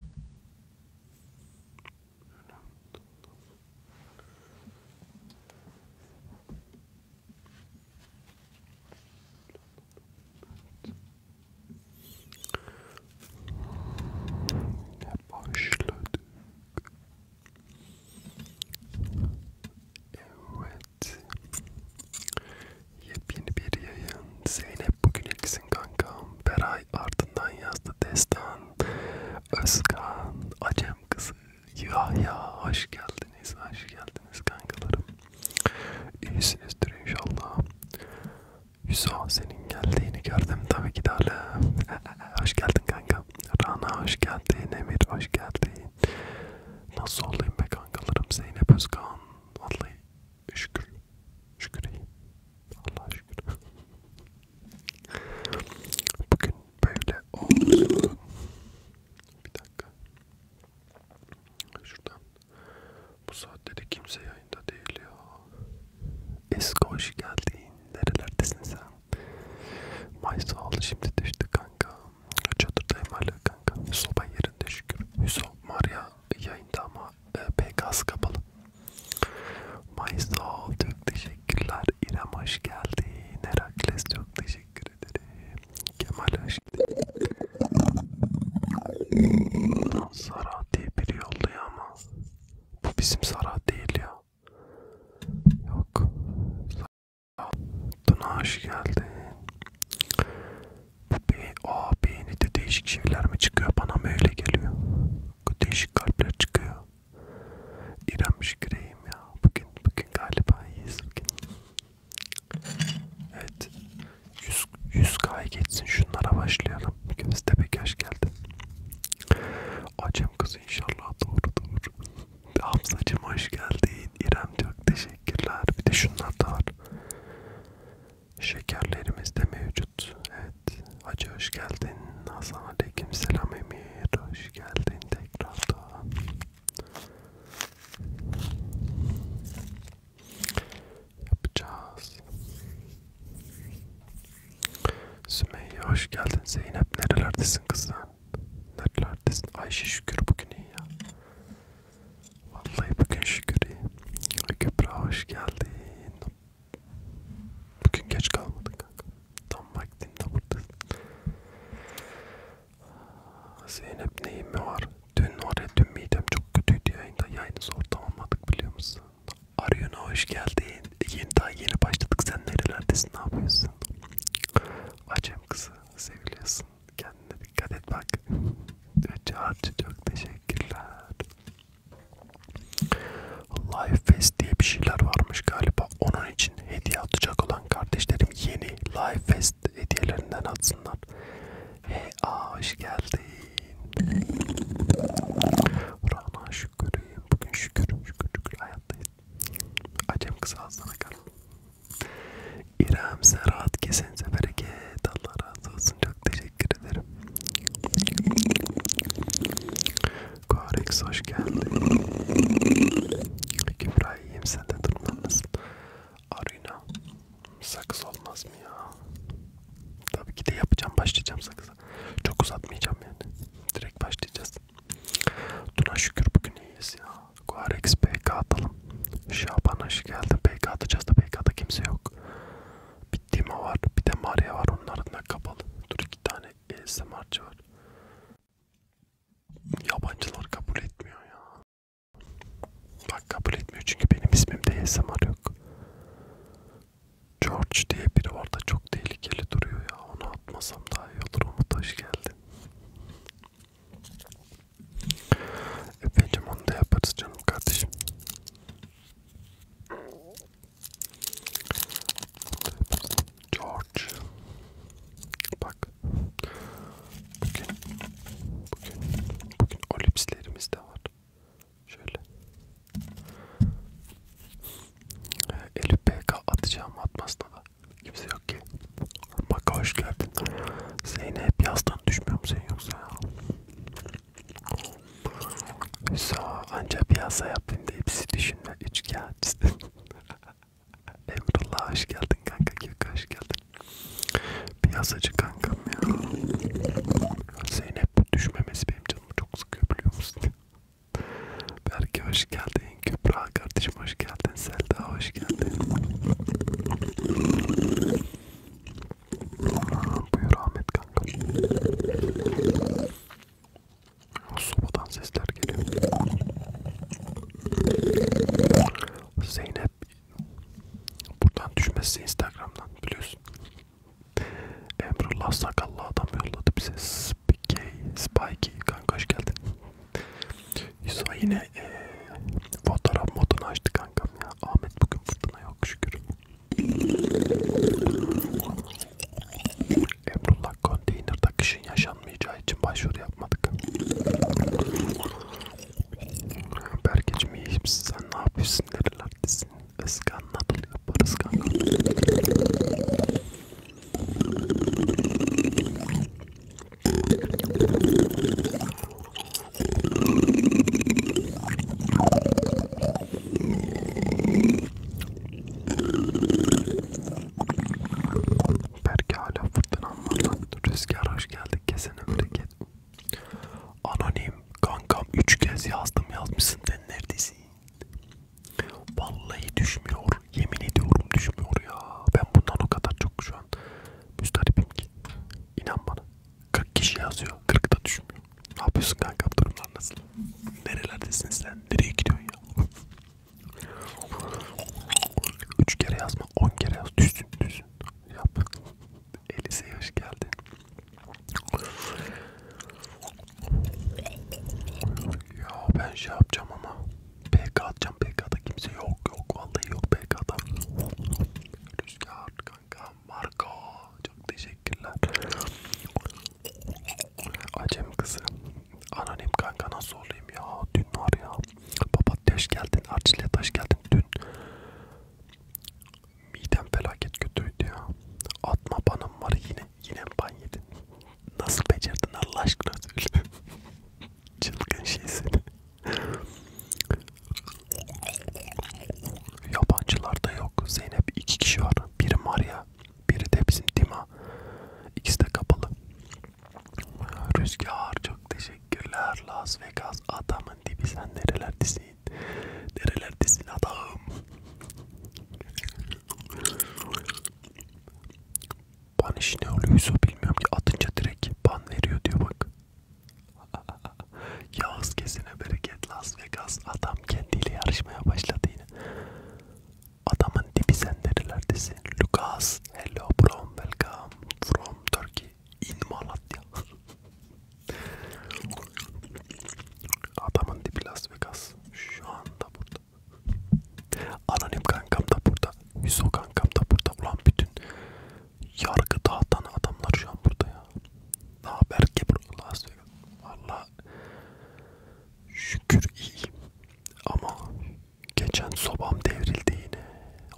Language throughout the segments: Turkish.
Ne başladık? Evet. Yepyeni bir yayın. Zeynep bugün ilksin kankam. Beray ardından yazdı Destan, Özkan, Acem kızı, Yahya hoş geldiniz, hoş geldiniz kankalarım. İyisinizdir inşallah. Yusuf senin geldiğini gördüm tabii ki de Hoş geldin kanka. Rana hoş geldin, Emir hoş geldin. Nasıl olayım be kankalarım Zeynep Özkan? Vallahi şükür şükür iyiyim Allah'a şükür bugün böyle oldu bir dakika şuradan bu saatte de kimse yayında değil ya eski hoş geldin nerelerdesin sen May sağ ol şimdi düştü kanka çadırdayım hala kanka soba yerinde şükür Hüso Maria yayında ama e, PKS kapalı. Maysa çok teşekkürler. İrem hoş geldin. Herakles çok teşekkür ederim. Kemal hoş geldin. Sara diye biri yolluyor ama bu bizim Sara değil ya. Yok. Sara. Duna hoş geldin. Bu be o beyninde değişik şeyler mi çıkıyor? Bana mı öyle geliyor? Değişik kalpler çıkıyor. İrem şüküreyim ya. Bugün bugün galiba iyiyiz bugün. Evet. 100, 100K'ya geçsin şunlara başlayalım. Göztepe hoş geldin. Acem kızı inşallah doğru doğru. Hamzacım hoş geldin. İrem çok teşekkürler. Bir de şunlar da var. Şekerlerimiz de mevcut. Evet. Hacı hoş geldin. Hasan aleyküm selam Emir. Hoş geldin tekrardan. Yapacağız. Sümeyye hoş geldin. Zeynep nerelerdesin kızım? Nerelerdesin? Ayşe şükür bugün iyi ya. Vallahi bugün şükür iyi. Kübra hoş geldin. Bugün geç kalmadın kanka. Tam vaktinde buradasın. Zeynep neyin mi var? Dün oraya dün midem çok kötüydü yayında. Yayını zor tamamladık biliyor musun? Arıyor'una hoş geldin. Yeni daha yeni başladık. Sen nerelerdesin? Ne yapıyorsun? Acem kızı seviliyorsun. Kendine dikkat et bak. Çağrıcı çok teşekkürler. Live Fest diye bir şeyler varmış galiba. Onun için hediye atacak olan kardeşlerim yeni Live Fest hediyelerinden atsınlar. Hey, aa, hoş geldin. Rana şükürüm. Bugün şükür, şükür, şükür hayattayız. Acem kız ağzına kal. İrem Serhat kesenize bereket. Allah razı olsun. Çok teşekkür teşekkür ederim. Korex hoş geldin. Kübra iyiyim sen de durmanız. Arina sakız olmaz mı ya? Tabii ki de yapacağım başlayacağım sakıza. Çok uzatmayacağım yani. Direkt başlayacağız. Tuna şükür bugün iyiyiz ya. Korex PK atalım. Şaban hoş geldin. PK atacağız da PK'da kimse yok. Bir Dima var. Bir de Maria var. Onların da kapalı. Dur iki tane ASMR'cı var. Yabancılar kabul etmiyor ya. Bak kabul etmiyor çünkü benim ismimde ASMR yok. George diye biri var da çok tehlikeli duruyor ya. Onu atmasam daha iyi olur. Umut hoş geldin. Efendim onu da yaparız canım kardeşim. George Bak Bugün Bugün Bugün o lipslerimiz de var Şöyle ee, Elif BK atacağım atmasına da Kimse yok ki Bak hoş geldin Zeynep yazdan düşmüyor mu sen yoksa ya So ancak piyasa yaptığımda hepsi düşünme üç kağıtçı. Emrullah hoş geldin kanka Gökhan hoş geldin. Piyasacı kankam ya. Zeynep düşmemesi benim canımı çok sıkıyor biliyor musun? Berke hoş geldin. Kübra kardeşim hoş geldin. Selda hoş geldin. Buyur Ahmet kanka. Sobadan sesler geliyor. Zeynep buradan düşmesi Instagram'dan biliyorsun. Emrullah sakallı adam yolladı bize. Spikey, Spikey kanka hoş geldin. Yusuf yine ee, fotoğraf modunu açtı kankam ya. Ahmet bugün fırtına yok şükür. Emrullah konteyner takışın yaşanmayacağı için başvuru yapmadık. Berkeciğim iyiyim sen ne yapıyorsun nerelerdesin? Iskanladın yaparız kanka. Belki hala fırtınam var Rüzgar hoş geldik kesin ömreket. Anonim kankam 3 kez yazdım yazmışsın sen neredesin? Vallahi düşmüyor. Yemin ediyorum düşmüyor ya. Ben bundan o kadar çok şu an müstaripim ki. İnan bana. 40 kişi yazıyor. 40 da düşmüyor. Ne yapıyorsun kanka? Durumlar nasıl? Nerelerdesin sen? Nereye gidiyorsun ya? Üç kere yazma, on kere yaz. Düzsün, düzsün. Yap. Elise'ye hoş geldin. Ya ben şey yapacağım ama. PK atacağım. PK'da kimse yok. Yok vallahi yok PK'da. Rüzgar kanka. Marco çok teşekkürler. Acem kızı. Anonim kanka nasıl olayım ya? Dün var ya. Papatya hoş geldin. Arçile taş geldin. Dün midem felaket kötüydü ya. Atma banım var yine. Yine ban yedin. Nasıl becerdin Allah aşkına söyle. Çılgın şeysin. Yabancılarda yok. Zeynep iki kişi var. Biri Maria, biri de bizim Dima. İkisi de kapalı. Rüzgar çok teşekkürler. Las Vegas adamın dibi sen nerelerdesin? Nerelerdesin adam? Ban işi ne oluyorsa bilmiyorum ki atınca direkt ban veriyor diyor bak. Yağız kesine bereket Las Vegas. Adam kendiyle yarışmaya başladı yine. Adamın dibi senderilerdesi. Lucas, hello bro, welcome from Turkey in Malatya. Adamın dibi Las Vegas. Şu anda burada. Anonim kankam da burada. Hüso kankam da burada. Ulan bütün yargı dağıtan adamlar şu an burada ya. Ne haber ki bro Las Vegas. Valla Allah'a şükür iyiyim. Ama geçen sobam devrildi yine.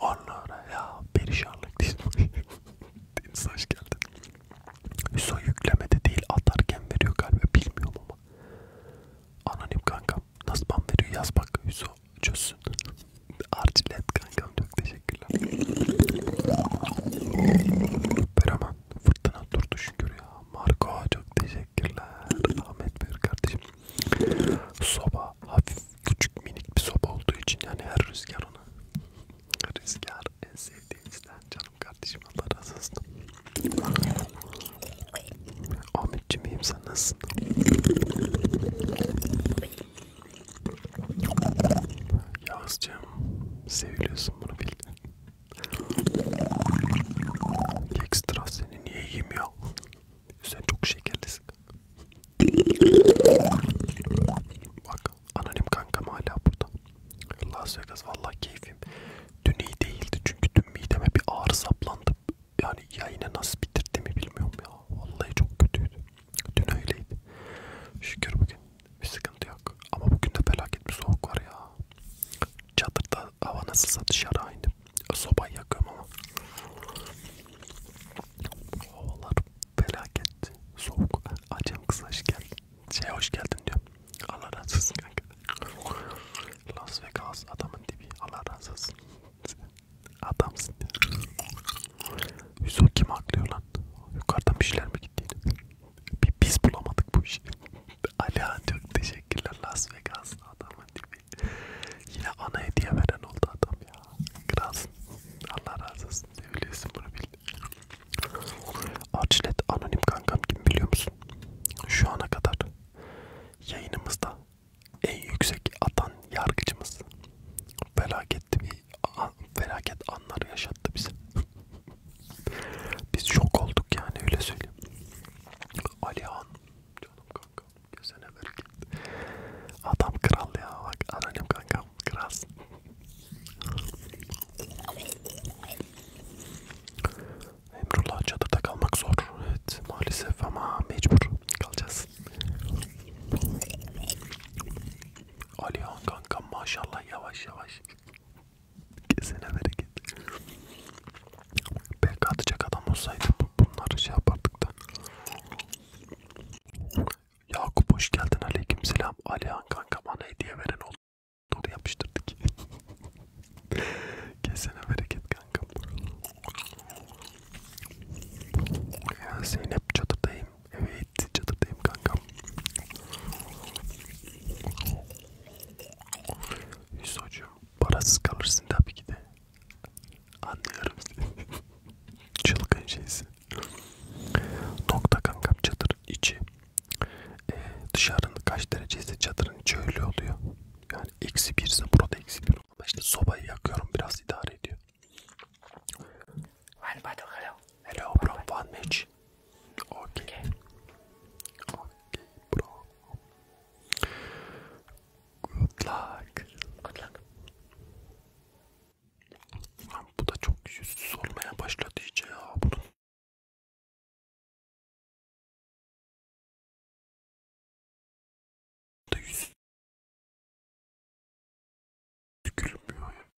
Allah ya perişanlık değil. Deniz hoş geldin. Hüso yüklemede değil atarken veriyor galiba bilmiyorum ama. Anonim kankam. Nasıl ban veriyor yaz bak Hüso çözsün. Arcilet kankam çok teşekkürler. Berama. Fırtına, fırtına durdu şükür ya. Marco çok teşekkürler. Ahmet Bey kardeşim. Soba hafif küçük minik bir soba olduğu için yani her rüzgar ona. Rüzgar en sevdiğimizden canım kardeşim Allah razı olsun. Ahmetciğim iyiyim sen nasılsın? Yağızcığım seviliyorsun bunu bildin. Ekstra seni niye yiyeyim ya? Sen çok şekerlisin. Bak anonim kankam hala burada. Las Vegas vallahi keyfim. Dün iyi değildi çünkü dün mideme bir ağrı saplandı. Yani yayını nasıl bitirdiğimi bilmiyorum ya. Vallahi çok kötüydü. Dün öyleydi. Şükür bugün bir sıkıntı yok. Ama bugün de felaket bir soğuk var ya. Çadırda hava nasılsa dışarı aynı. Sobayı yakıyorum ama. Havalar felaket soğuk. Acem kız hoş geldin. Şey hoş geldin diyor. Allah razı olsun kanka. Las Vegas adamın dibi. Allah razı olsun. Adamsın. Yüzü kim aklıyor lan? Yukarıdan bir şeyler mi gittiydi? Biz bulamadık bu işi. Alihan çok teşekkürler Las Vegas'ta adamın gibi. Yine ana hediye veren oldu adam ya. Kral. Allah razı olsun. Seviliyorsun bunu bildin. Arçlet anonim kankam kim biliyor musun? Şu ana kadar yayınımızda en yüksek atan yargıcımız. Felaket bir felaket anları yaşattı bize. Biz şok olduk yani öyle söyleyeyim. Alihan canım kanka kesene bereket. Adam kral ya bak anonim kankam kral. Emrullah çadırda kalmak zor. Evet maalesef ama mecbur kalacağız. Alihan kankam maşallah yavaş yavaş. Kesene bereket. Belki atacak adam olsaydı bunları şey yapardık da. Yakup hoş geldin aleyküm selam. Alihan kanka bana hediye veren oldu. Doğru yapıştırdık. Kesene bereket kankam. Ya Zeynep çadırdayım. Evet çadırdayım kankam. Hüsocuğum parasız kalırsın tabii ki de. Anlıyorum seni. Çılgın şeysin. Nokta kankam çadır içi. Ee, dışarının kaç derecesi çadırın içi öyle oluyor. Yani eksi birse burada eksi bir. Ama işte sobayı yakıyorum biraz idare ediyor. Hadi bakalım. Hello from one match. Okay. okay. Okay, bro. Good luck. Good luck. Lan bu da çok yüzsüz olmaya başladı iyice ya bunun. Da yüz. Gülmüyor ya.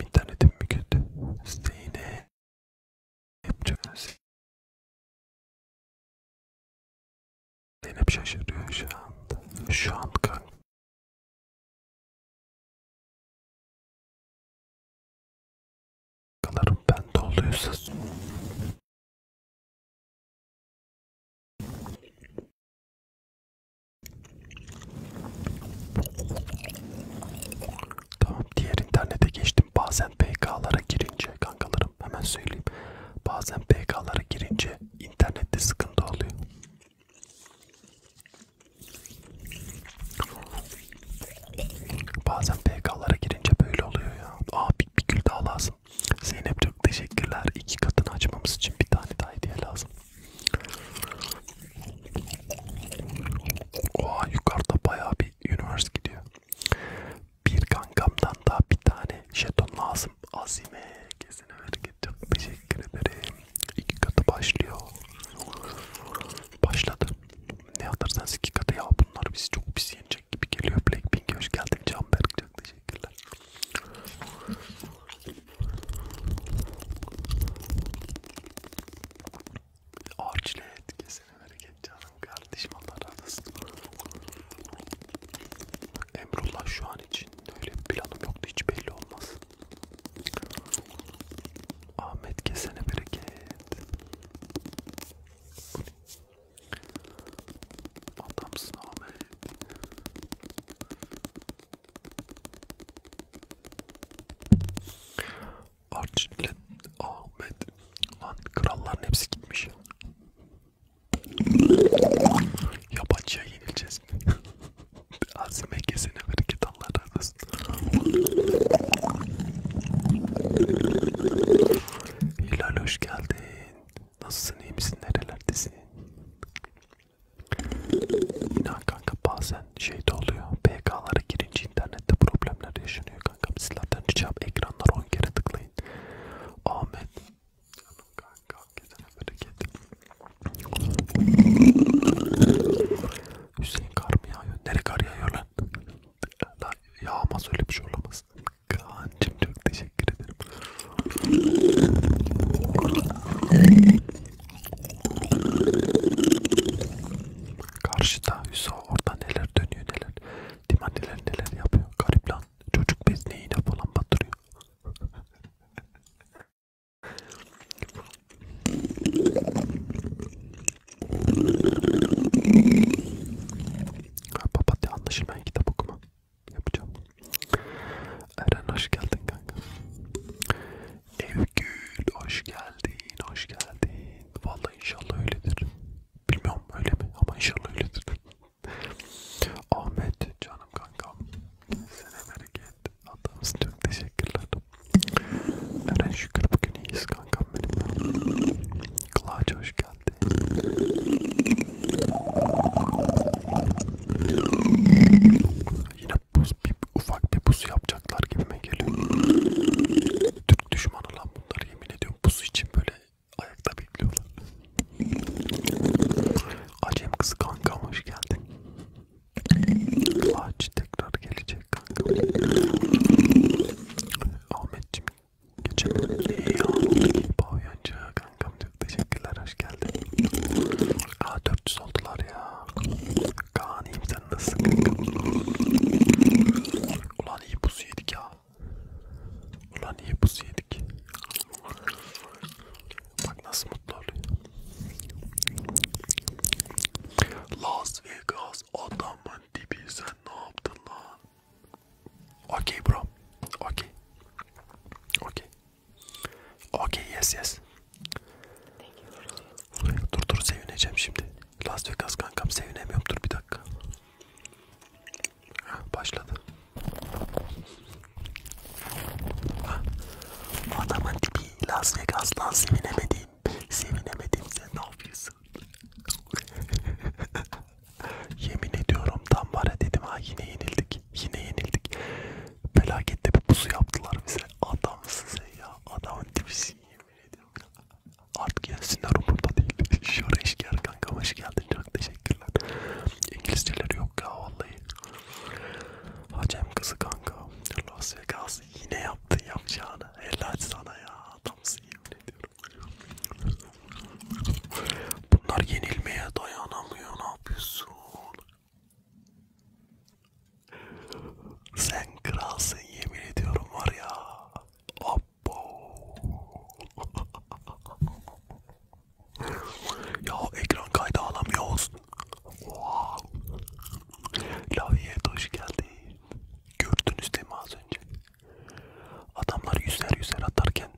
İnternetim mi kötü? Siteyine yapacak mısın? Zeynep şaşırıyor şu anda. Şu an kanka. Kalarım ben dolduysa. Tamam diğer internete geçtim. Bazen PK'lara girince kankalarım hemen söyleyeyim. Bazen PK'lara girince internette sıkıntı oluyor. Bazen PK'lara girince böyle oluyor ya. Aa bir, bir gül daha lazım lazım. Zeynep çok teşekkürler. İki katını açmamız için bir tane daha hediye lazım. Oha yukarıda bayağı bir universe gidiyor. Bir kankamdan daha bir tane jeton lazım. Azime kesin ver çok teşekkür ederim. İki katı başlıyor. Başladı. Ne atarsanız iki katı ya bunlar bizi çok pis ateş yenecek gibi geliyor. Blackpink hoş geldin Canberk çok teşekkürler. Arçile etkisini bereket canım kardeşim Allah razı olsun. Emrullah şu an için öyle bir planım yoktu hiç belli olmaz. Ahmet kesene bereket. Adamsın abi. Arçinlet Ahmet. Lan kralların hepsi gitmiş. Yabancıya yenileceğiz. Azime kesene bereket Allah razı olsun. Hilal hoş geldin. Nasılsın iyi misin nerelerdesin? İnan kanka bazen şeyde oluyor. PK'lara girince internette problemler yaşanıyor kanka. Sizlerden ricam ekranlara 10 kere tıklayın. Ahmet. Canım kanka hakikaten bereket. Hüseyin kar mı yağıyor? Nereye kar yağıyor lan? Yağmaz öyle bir şey olamaz. Kaan'cım çok teşekkür ederim. Karşıda Hüsa orada neler dönüyor neler. Dima neler neler yapıyor. Garip lan. Çocuk bezneyi yine falan batırıyor. Papatya anlaşılmayan kitap okuma yapacağım. Eren hoş geldin kanka. Evgül hoş geldin, hoş geldin. Vallahi inşallah öyledir. Bilmiyorum öyle mi ama inşallah öyledir. Ahmet canım kankam. Sene bereket. Adamsın çok teşekkürler. Eren şükür bugün iyiyiz kankam benim. Kulaç hoş geldin. Yine buz, bir, ufak bir buz yapacaklar gibime geliyor. Türk düşmanı lan bunlar yemin ediyorum. Buz için böyle ayakta bekliyorlar. Acem kız kanka hoş geldin. Ağaç tekrar gelecek kanka. Ahmetciğim Geçelim. Pavyancı kankam çok teşekkürler hoş geldin. Aa 400 oldular ya. Kaan iyiyim sen nasılsın kankam? Ulan iyi buz yedik ya. Ulan iyi buz yedik. Bak nasıl mutlu oluyor. Las Vegas adamın dibi sen ne yaptın lan? Okay, bro. Okay. Okay. Okay, yes, yes. Dur dur sevineceğim şimdi. Las Vegas kankam sevinemiyorum. Dur bir dakika. Ha, başladı. Ha. Adamın tipi Las Vegas'tan sevinemedim. Sevinemedim sen ne yapıyorsun? mısın? Yemin ediyorum tam var ya dedim ha yine yenildik. Yine yenildik. Felakette bir pusu yaptılar bize. Adamsın sen ya. Adamın tipisin yemin ediyorum. Artık yesinler umurumda değil. Şöyle işgâr kankam hoş geldin. Çok teşekkürler. İngilizceleri yok ya vallahi. Hacem kızı kanka. Las Vegas yine yaptın yapacağını. Helal sana ya adamsın yemin ediyorum. Bunlar yenilmeye dayanamıyor. Ne yapıyorsun? Sen kralsın yemin ediyorum var ya. Abbo. ya ekran kaydı alamıyoruz. Wow. Laviyet hoş geldin. Gördünüz değil mi az önce? Adamlar yüzler yüzler atarken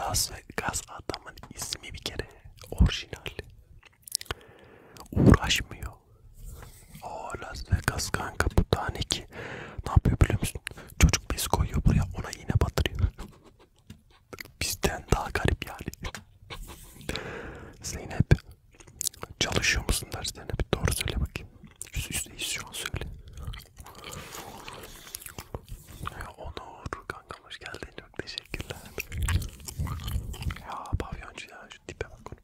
Las Vegas adamın ismi bir kere orijinal. Uğraşmıyor. O Las Vegas kanka bu tane ki ne yapıyor biliyor musun? Çocuk biz koyuyor buraya ona yine batırıyor. Bizden daha garip yani. Zeynep çalışıyor musun derslerine bir doğru söyle bakayım. Yüz yüzdeyiz şu an söyle. Ya Onur kankam hoş geldin çok teşekkürler. Ya pavyoncu ya şu tipe bak onu.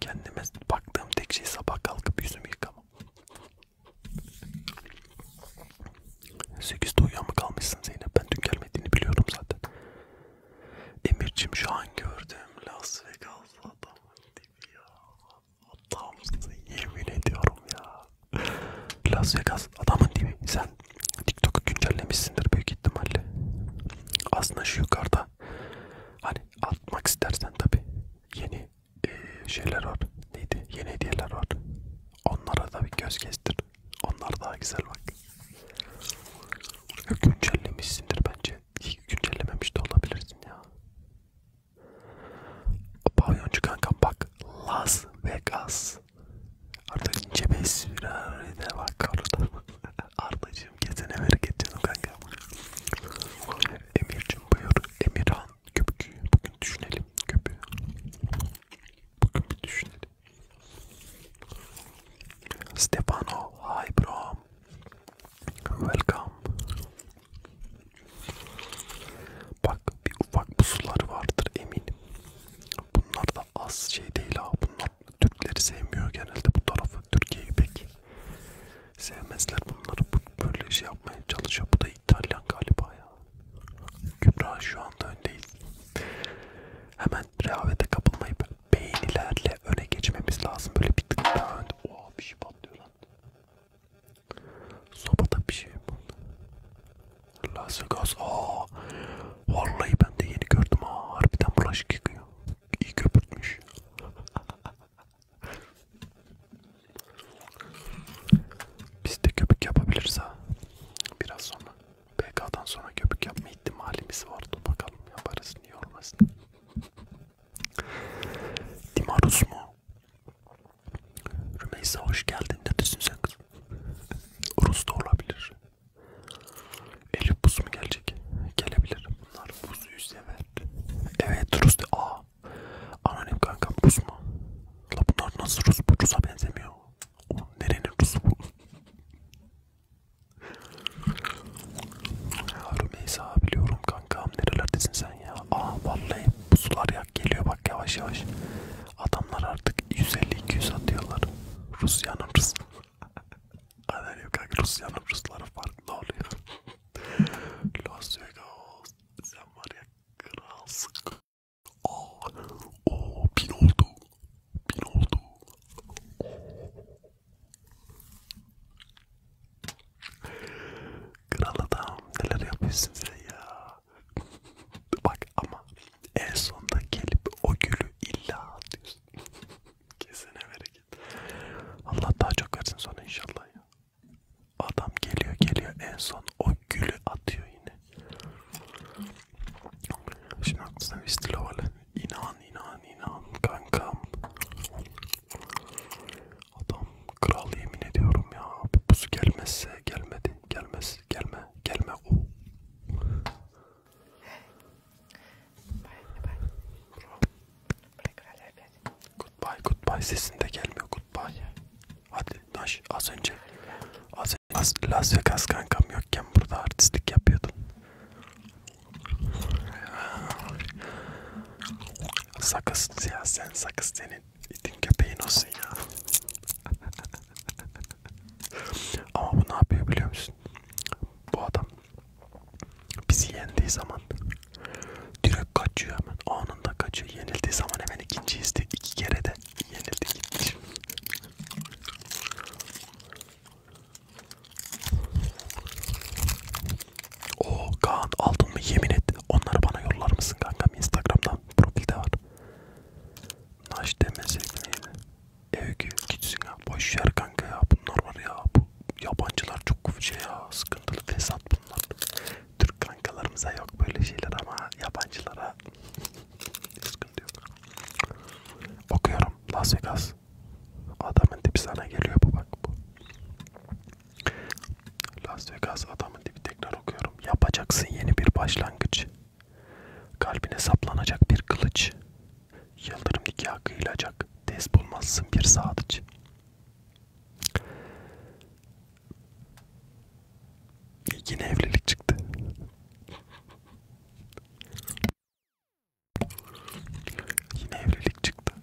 Kendime baktığım tek şey sabah kalkıp yüzümü yıkamam. 8'de uyuyan mı kalmışsın Zeynep? Ben dün gelmediğini biliyorum zaten. Emir'cim şu an gördüm Las Vegas'lı adamın tipi ya. Adamsın yemin ediyorum ya. Las Vegas adamın değil mi? Sen TikTok'u güncellemişsindir büyük ihtimalle. Aslında şu yukarıda hani atmak istersen tabi yeni e, şeyler var. Neydi? Yeni hediyeler var. Onlara da bir göz kestir. Onlar daha güzel bak. Güncellemişsindir bence. Güncellememiş de olabilirsin ya. Pavyoncu kankam bak Las Vegas. Artık ince bir süreride bak orada. Ardacığım kesene bereket canım kankam. Emir'cim buyur. Emirhan köpüğü. Bugün düşünelim köpüğü. Bugün bir düşünelim. Stefano, hi bro. Welcome. Bak bir ufak pusuları vardır eminim. Bunlar da az şey değil ha. Bunlar Türkleri sevmiyor genelde bu tarafı. Türkiye'yi pek sevmezler bunları. Böyle şey yapmaya çalışıyor. Bu da İtalyan galiba ya. Kübra şu anda öndeyiz. Hemen rehavete kapılmayıp beğenilerle öne geçmemiz lazım. Böyle bir tık daha önde. Oha bir şey patlıyor lan. Sobada bir şey buldum. Las Vegas. Aa, vallahi ben de yeni gördüm ha. Harbiden bulaşık yıkıyor. İyi köpürtmüş. Biz de köpük yapabiliriz ha. Biraz sonra. PK'dan sonra köpük yapma ihtimalimiz vardı. Bakalım yaparız. Niye olmasın? Dimarus mu? Rümeysa hoş geldin. Neredesin sen kız? Rus da olabilir. Elif buz mu gelecek? Gelebilir. Bunlar buzuyu sever. Evet Rus da. Aa. Anonim kankam Rus mu? La bunlar nasıl Rus? Bu Rus'a benzemiyor. O nerenin Rus'u bu? Rümeysa biliyorum kankam nerelerdesin sen ya? Aa vallahi pusular yak geliyor bak yavaş yavaş. Adamlar artık 150-200 atıyorlar. Rusya'nın Rus. Anladım kanka Rusya'nın Rusları farklı oluyor. Las Vegas sen var ya kralsın. Aa o bin oldu. Bin oldu. Kral adam neler yapıyorsun sen ya. Bak ama en sonda gelip o gülü illa atıyorsun. Kesene bereket. Allah daha çok versin sonra inşallah ya. Adam geliyor geliyor en son o gülü atıyor yine. Şimdi aklısına Vistilovalı. İnan inan inan kankam. Adam kral yemin ediyorum ya. Pusu gelmezse gelmedi. Gelmez. Gelme. Gelme. o. Bye bye. Goodbye goodbye sesinde gelmiyor goodbye. Hadi naş az önce az önce Las Vegas kankam yokken burada artistlik yapıyordun. Sakız ya sen sakız senin İtin köpeği nasıl ya? Ama bu ne yapıyor biliyor musun? Bu adam bizi yendiği zaman direkt kaçıyor hemen. Anında kaçıyor. Yenildiği zaman hemen ikinci izdi. İki kere de yenildi gitti. O Kaan aldın mı yemin et. Onları bana yollar mısın kankam? Instagram'dan profilde var. Naş demesek neydi? Evgü gitsin ya. Boş yer kanka ya. Bunlar var ya. Bu yabancılar çok şey ya. Sıkıntılı fesat bunlar. Türk kankalarımıza yok böyle şeyler ama yabancılara sıkıntı yok. Okuyorum Las Vegas. Adamın tipi sana geliyor bu bak bu. Las Vegas adamın dibi tekrar okuyorum. Yapacaksın yeni bir başlangıç. Kalbine saplanacak bir kılıç. Yıldırım nikah kıyılacak. Tez bulmazsın bir sadıç. Yine evlilik çıktı. Yine evlilik çıktı.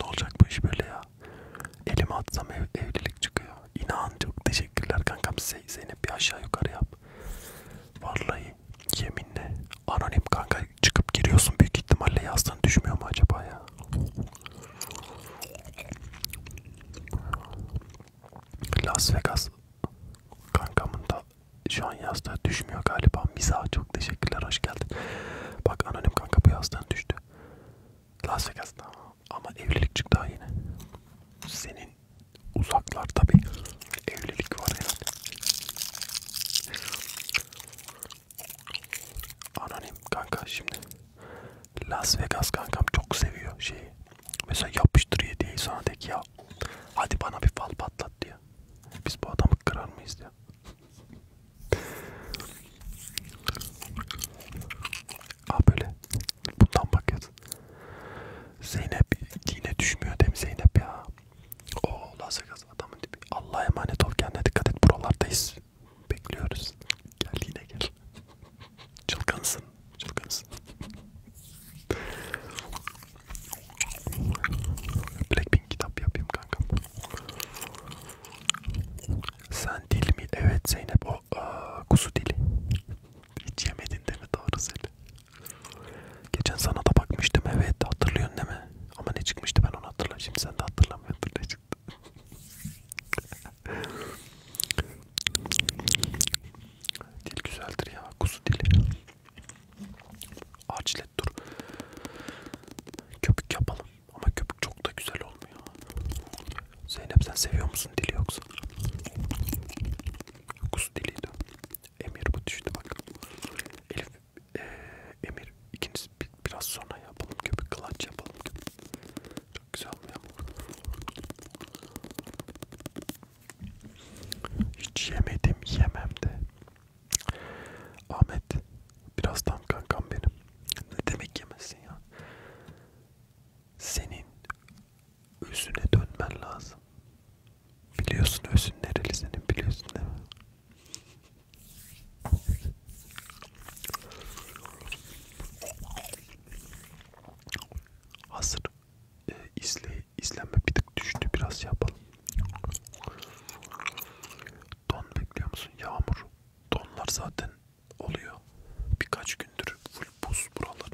Ne olacak bu iş böyle ya? Elime atsam ev, evlilik çıkıyor. İnan çok teşekkürler kankam. Zeynep bir aşağı yukarı yap. Vallahi yeminle anonim kanka çıkıp giriyorsun büyük ihtimalle yazdan düşmüyor mu acaba ya? Las Vegas kankamın da şu an yazda düşmüyor galiba. Miza çok teşekkürler hoş geldin. Bak anonim kanka bu yazdan düştü. Las Vegas'ta ama evlilik çıktı ha yine. Senin uzaklarda bir evlilik var herhalde. Anonim kanka şimdi. Las Vegas kankam çok seviyor şeyi. Mesela yapıştır yediği sana de ki ya hadi bana bir fal patlat diyor. Biz bu adamı kırar mıyız diyor. Aa ah, böyle. Bundan bak yaz. Zeynep yine düşmüyor değil mi Zeynep ya? Oo Lazakaz adamın tipi. Allah'a emanet ol kendine dikkat et buralardayız. Bekliyoruz. Gel yine gel. Çılgınsın. Çılgınsın. Blackpink kitap yapayım kankam. Sen dil mi? Evet Zeynep o aa, kuzu dili. Hiç yemedin değil mi doğru söyle. Geçen sana da bakmıştım evet hatırlıyorsun değil mi? Ama ne çıkmıştı ben onu hatırlamıyorum. Şimdi sen de hatırlamıyorsun ne çıktı. Dil güzeldir ya kuzu dili. Ağaç millet dur. Köpük yapalım ama köpük çok da güzel olmuyor. Zeynep sen seviyor musun dili yoksa? Kus diliydi. Emir bu düştü bak. Elif, e, Emir ikiniz bir, biraz sonra yapalım köpük kılaç yapalım. Çok güzel olmuyor Hiç yemedim yemem de Ahmet biraz tam kankam benim. Ne demek yemezsin ya? Senin özüne dönmen lazım. Biliyorsun özün nereli senin biliyorsun değil mi? Hazır e, izle, izlenme bir tık düştü biraz şey yapalım. Don bekliyor musun? Yağmur. Donlar zaten oluyor. Birkaç gündür full buz buralar.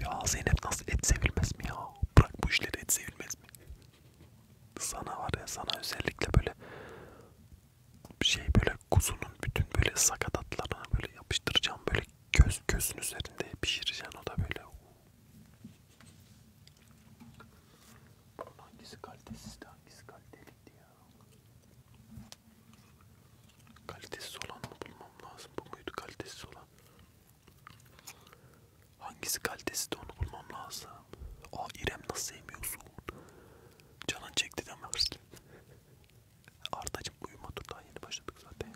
Ya Zeynep nasıl et sevilmez mi ya? Bırak bu işleri et sevilmez mi? Sana var ya sana özellikle böyle şey böyle kuzunun bütün böyle sakatatlarına böyle yapıştıracağım böyle göz gözün üzerinde pişireceğim o da böyle Hangisi kalitesiz de hangisi kaliteliydi ya? Kalitesiz olan mı bulmam lazım? Bu muydu kalitesiz olan? Hangisi kalitesiz de onu bulmam lazım. Aa İrem nasıl sevmiyorsun? Canın çekti deme hırslı. Ardacım uyuma dur daha yeni başladık zaten.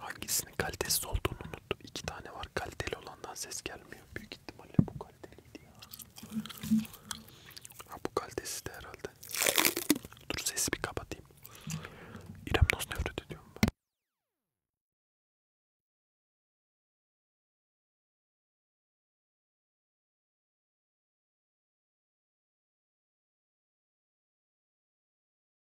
Hangisinin kalitesiz olduğunu Note 2 tane var. Kaliteli olandan ses gelmiyor. Büyük ihtimalle bu kaliteliydi ya. Ha bu kalitesi de herhalde. Dur sesi bir kapatayım. İrem Nos nefret ediyorum ben.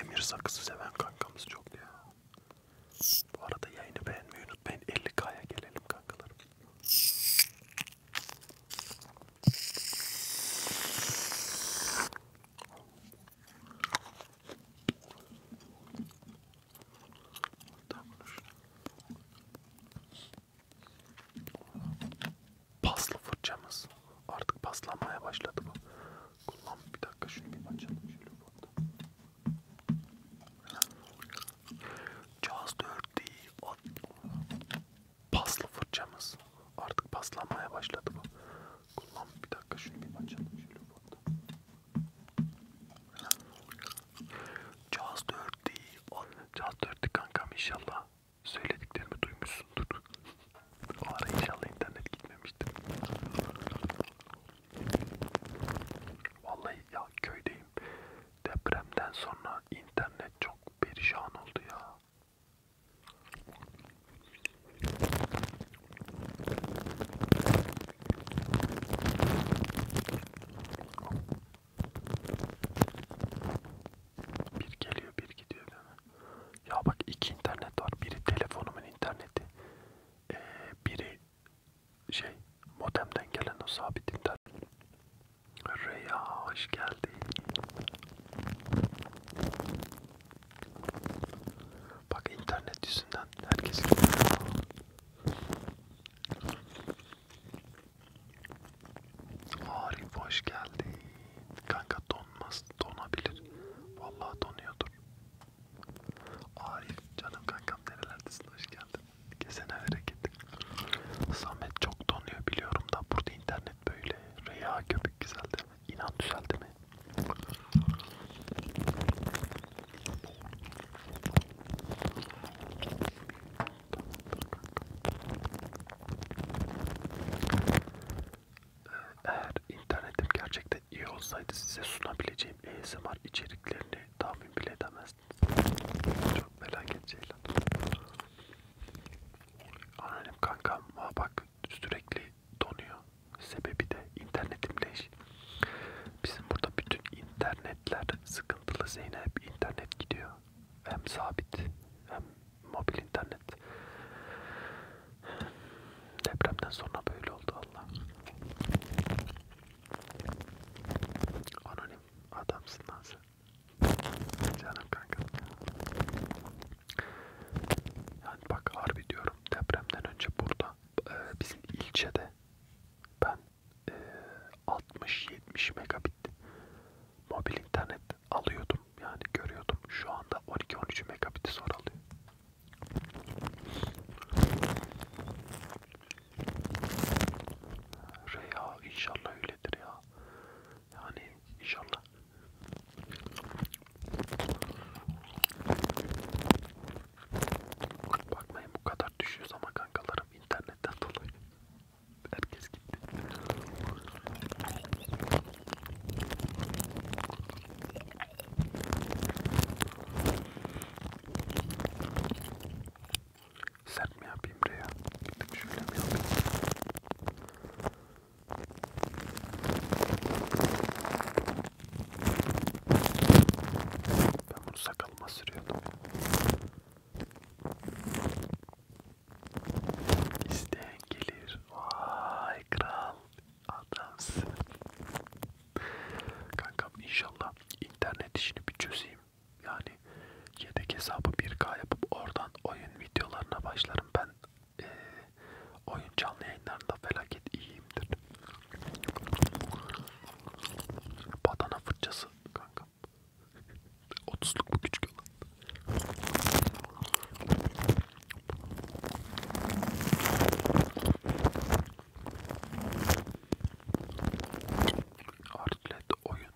Emir sakızı seven kankamız çok ya. Bu arada yayını beğenmeyi unutmayın. 50k'ya gelelim kankalarım. Paslı fırçamız. Artık paslanmaya başladı bu. Kullan bir dakika şunu bir açalım. Şöyle burada. Just dirty. Paslı fırçamız. Artık paslanmaya başladı bu. Kullan bir dakika şunu bir açalım. Şöyle burada. Caz 4 değil. Caz 4 kankam inşallah. Söylediklerimi duymuşsundur. o ara inşallah internet gitmemiştir. Vallahi ya köydeyim. Depremden sonra internet çok perişan oldu ya. Bir geliyor bir gidiyor değil mi? Ya bak iki internet var. Biri telefonumun interneti. Ee, biri şey modemden gelen o sabit internet. Reya hoş geldin. Bak internet yüzünden herkes Arif hoş geldin. Kanka donmaz, donabilir. Vallahi donuyordur. Arif canım kankam nerelerdesin hoş geldin. Kesene hareket. Samet çok donuyor biliyorum da burada internet böyle. Rüya köpük güzeldi. İnan düzeldi mi? Eğer internetim gerçekten iyi olsaydı size sunabileceğim ASMR içeriklerini tahmin bile edemezdiniz. Çok felaket şeyler. Anonim kankam bak sürekli donuyor. Sebebi de internetimle iş. Bizim burada bütün internetler sıkıntılı Zeynep. internet gidiyor. Hem sabit hem mobil internet. Depremden sonra böyle oldu Allah. Anonim adamsın lan sen. Canım kanka. Yani bak harbi diyorum depremden önce burada e, bizim ilçede ben 60-70 e, megabit mobil internet alıyordum yani görüyordum. Şu anda 12-13 megabit'i zor alıyor. Reha inşallah öyledir ya. Yani inşallah. Bakmayın bu kadar kadar düşüyoruz ama kankalarım internetten dolayı. Herkes gitti. Sert mi yapayım buraya? Bir tık şöyle mi yapayım? Ben bunu sakalıma sürüyordum. İsteyen gelir. Vay kral. Adamsın. Kankam inşallah internet işini bir çözeyim. Yani yedek hesabı 1K yapıp oradan oyun videolarına başlarım. Ben ee, oyun canlı yayınlarında felaket iyiyimdir. Badana fırçası kanka. 30'luk bu küçük olan. Artlet oyun.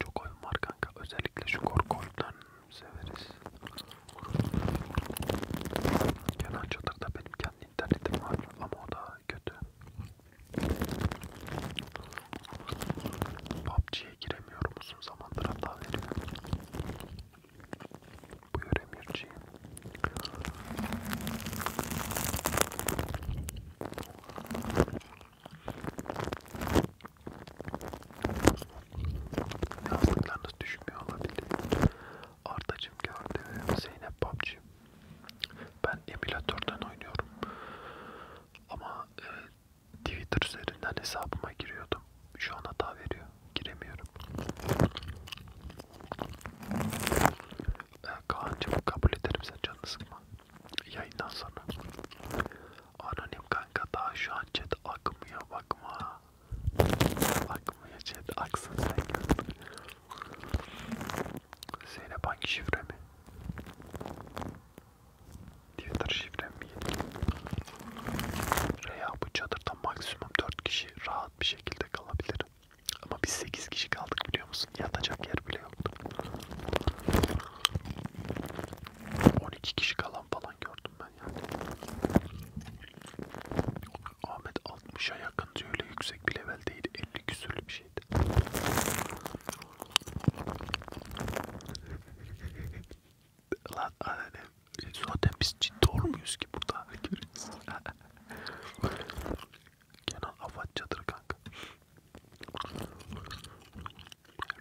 Çok oyun var kanka. Özellikle şu korku oyunlarını severiz. Kenan Çatır'da benim kendi internetim var ama o da kötü. PUBG'ye giremiyorum uzun zamandır hata veriyor. Buyur Emirciğim. Yazdıklarınız düşmüyor olabilir. Ardacım gördü. Zeynep PUBG ben emülatörden oynuyorum. Ama e, Twitter üzerinden hesabıma giriyordum. Şu an hata veriyor. Giremiyorum. E, Kaan'cığım kabul ederim sen canını sıkma. Yayından sonra. Anonim kanka daha şu an chat akmıyor bakma. Akmıyor chat aksın sen gör. Zeynep hangi şifre mi? Twitter şifrem mi Reya bu çadırda maksimum 4 kişi rahat bir şekilde kalabilir. Ama biz 8 kişi kaldık biliyor musun? Yatacak yer bile yoktu. 12 kişi kalan falan gördüm ben yani. Ahmet 60'a yakın sıkıntı öyle yüksek bir level değil. 50 küsürlü bir şeydi. Lan annem zaten biz ciddi olmuyoruz ki burada. Kenan afat çadır kanka.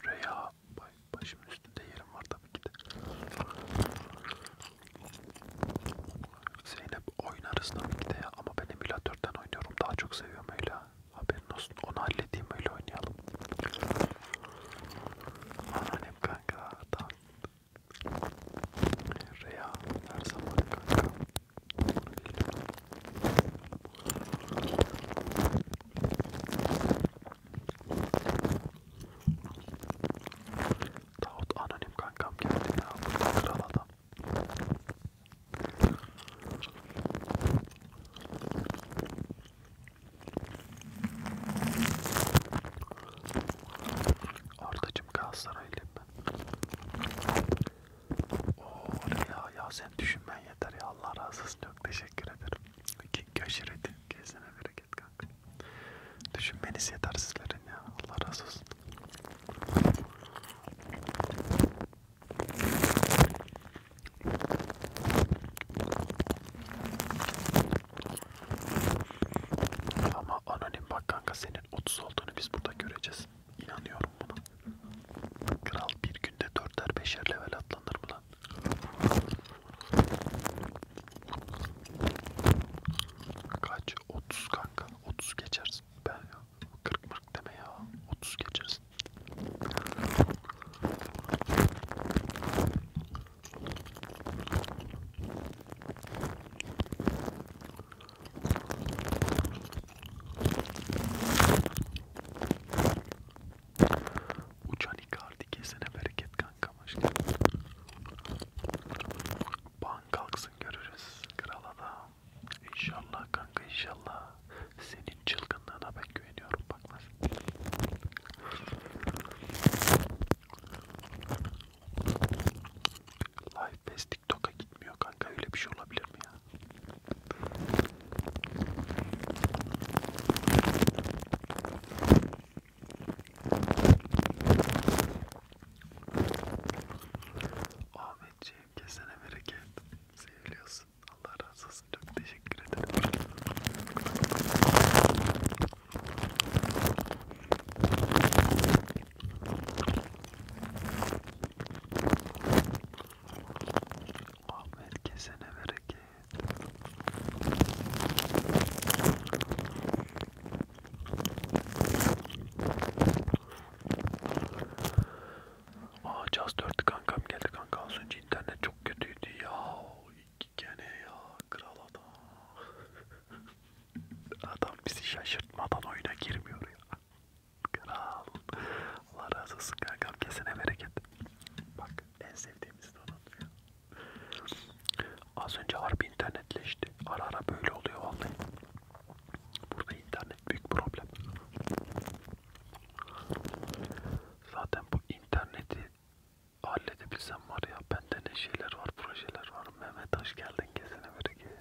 Reya başımın üstünde yerim var tabii ki de. Zeynep oynarız tabii ki de ya. ama ben emülatörden oynuyorum daha çok seviyorum öyle. Haberin olsun onu halledeyim öyle oynayalım. Annem kanka tamam. Reya her zaman kanka. Davut anonim kankam geldi ya. Burada kral adam. Ardacım Galatasaraylı mı? Oo ya, ya sen düşünmen yeter ya Allah razı olsun çok teşekkür ederim. İki aşiret kesene bereket kanka. Düşünmeniz yeter sizlerin ya Allah razı olsun. Ama anonim bak kanka senin 30 olduğunu biz burada göreceğiz. İnanıyorum buna. Kral bir günde 4'er 5'er level atlanır mı lan? Kaç? 30 kanka. 30 geçersin. Ben ya. 40 40 deme ya. 30 geçeriz. Uçan ikardi kesene bereket kankam aşkım. Ban kalksın görürüz kral adam. İnşallah kanka inşallah. Senin çılgınlığına ben güveniyorum bak nasıl. Live Pass TikTok'a gitmiyor kanka öyle bir şey olabilir mi ya? Aa Ahmetciğim kesene bereket. Seviliyorsun. Allah razı olsun. Çok teşekkür ederim. Ahmet kesene bereket. Aa Caz 4 kankam geldi kanka az önce internet çok kötüydü ya. Gene ya kral adam. Adam bizi şaşırtmadan oyuna girmiyor ya. Kral. Allah razı olsun kankam kesene bereket. Bak en sevdiğimiz de onun. Az önce harbi internetleşti. Ara ara böyle oluyor vallahi. Burada internet büyük problem. Zaten bu interneti halledebilsem var ya bende ne şeyler var projeler var. Mehmet hoş geldin gezene böyle gel.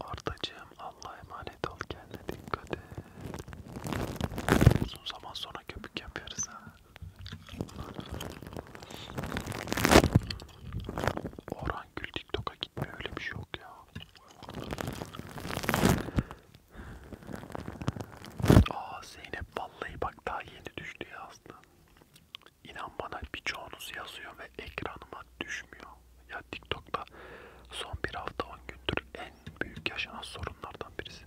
Ardacığım Allah'a emanet ol kendine dikkat et. Uzun zaman sonra köpük yapıyoruz ha. Orhan Gül TikTok'a gitmiyor öyle bir şey yok ya. Aa Zeynep vallahi bak daha yeni düştü ya aslında. İnan bana birçoğunuz yazıyor ve ekranıma düşmüyor. Ya TikTok'ta son bir hafta 10 gündür en büyük yaşanan sorunlardan birisi.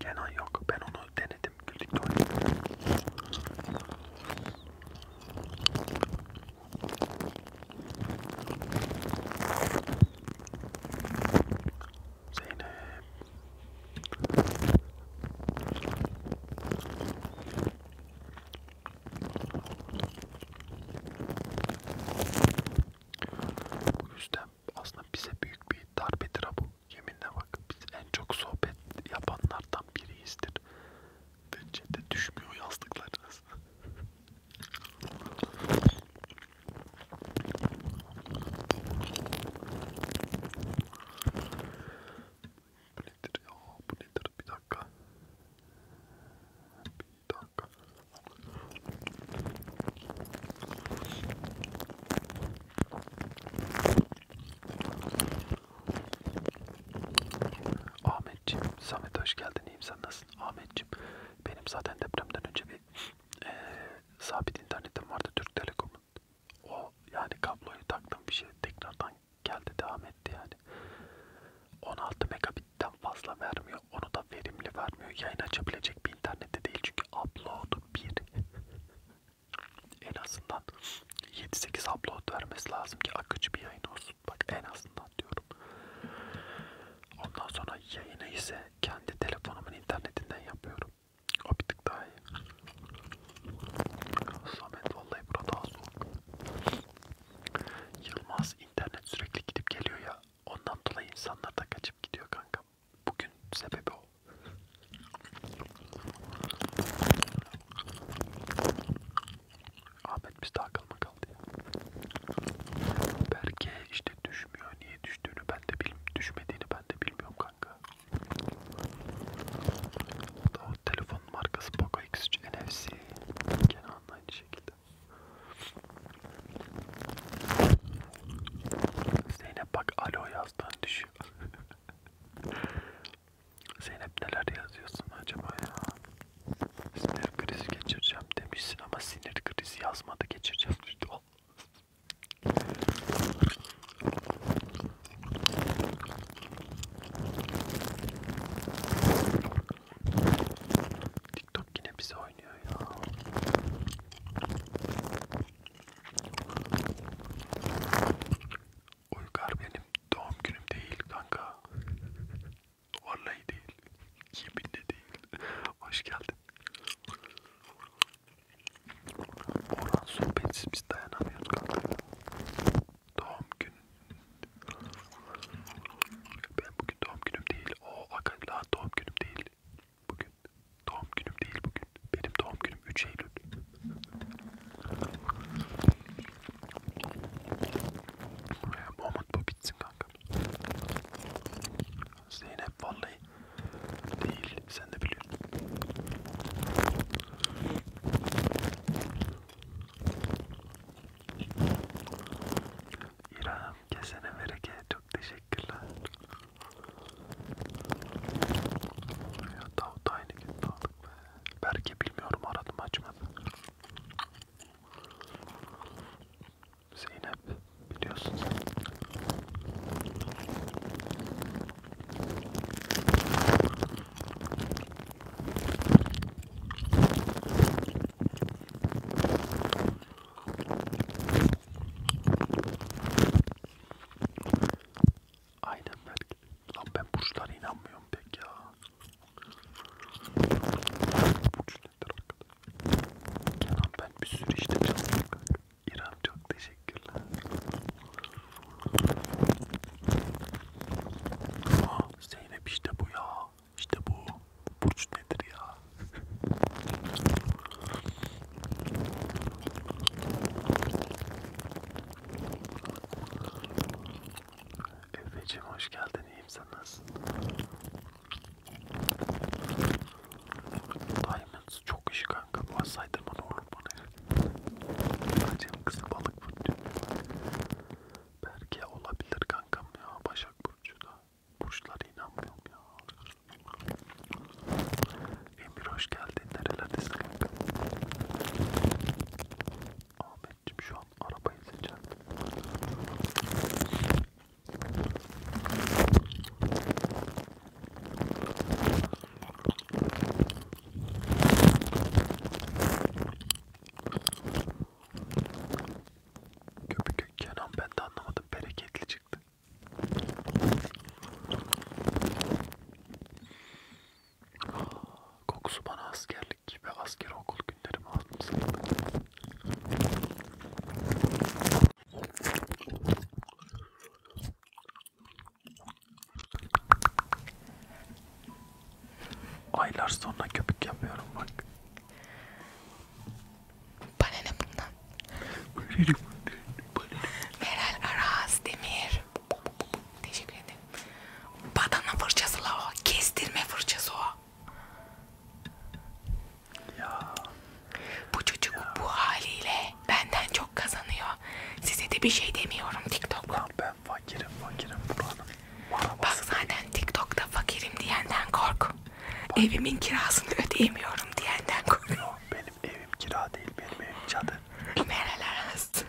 Kenan yok. Ben onu denedim. Güldük de Zeynep. O yüzden aslında bize büyük bir darbedir bu. Yeminle bak biz en çok sohbet yapanlardan biriyizdir. Ve chat'e düşmüyor yazdıklarınız. Bu nedir ya? Bu nedir? Bir dakika. Bir dakika. Ahmetciğim, Samet hoş geldin. İyiyim sen nasılsın? Ahmetciğim, benim zaten depremden önce bir e, sabit internetim vardı Türk Telekom'un. O yani kabloyu taktım bir şey tekrardan geldi devam etti yani. 16 megabitten fazla vermiyor. Onu da verimli vermiyor. Yayın açabilecek bir internette değil çünkü upload 1. en azından 7-8 upload vermesi lazım ki akıcı bir yayın olsun. Bak en azından diyorum. Ondan sonra yayını ise kendi telefonumun internetinden yapıyorum. O bir tık daha iyi. Samet vallahi burada daha soğuk. Yılmaz internet sürekli gidip geliyor ya. Ondan dolayı insanlar da kaçıp gidiyor kanka. Bugün sebebi o. Ahmet bizde akıl mı kaldı ya? Berke işte düşmüyor. Niye düştüğünü ben de bilmiyorum. Düşmediğini ben de bilmiyorum kanka. O telefon markası Poco X3 NFC. Gene aynı şekilde. Zeynep bak alo yazdan düşüyor. Zeynep neler yazıyorsun acaba ya? Sinir krizi geçireceğim demişsin ama sinir krizi yazmadı geçireceğim. TikTok yine bize oynuyor ya. Uygar benim doğum günüm değil kanka. Vallahi değil. Yeminle değil. Hoş geldin. Orhan sohbetsiz biz dayanamıyorduk artık. Doğum günü. Ben bugün doğum günüm değil. O akıllı doğum günüm değil. Bugün doğum günüm değil bugün. Benim doğum günüm 3 Eylül. Moment bu bitsin kanka. Zeynep vallahi değil. Sen de biliyorsun. İrem kesene vereke çok teşekkürler. Ya Davut aynı gün aldık be. Belki bilmiyorum aradım açmadı. Zeynep biliyorsun sen. Aynen ben. Lan ben burçlara inanmıyorum pek ya. Burç nedir arkadaş? Kenan ben bir sürü işte çalışıyorum. İrem çok teşekkürler. Aa, Zeynep işte bu ya. İşte bu. Burç nedir ya? Efeciğim hoş geldin. İyiyim sen nasılsın? Diamond Burası çok işi kanka. Buna saydırma ne olur bana. Acem kızı balık burcu. Berke olabilir kankam ya. Başak burcu da. Burçlara inanmıyorum ya. Emir hoş geldin. Nerelerdesin kanka? Ahmetciğim şu an arabayı seçen. Köpük Kenan ben de anlamadım bereketli çıktı. Kokusu bana askerlik ve asker okul günlerimi hatırlattı. Aylar sonra köpük yapıyorum bak. Bana ne bundan? Meral Aras Demir. Teşekkür ederim. Badana fırçası la o. Kestirme fırçası o. Ya. Bu çocuk ya. bu haliyle benden çok kazanıyor. Size de bir şey demiyorum TikTok. Lan ben fakirim fakirim buranın. Bak zaten TikTok'ta fakirim diyenden kork. Bak. Evimin kirasını ödeyemiyorum diyenden kork. Yok benim evim kira değil benim evim çadır. Meral arası.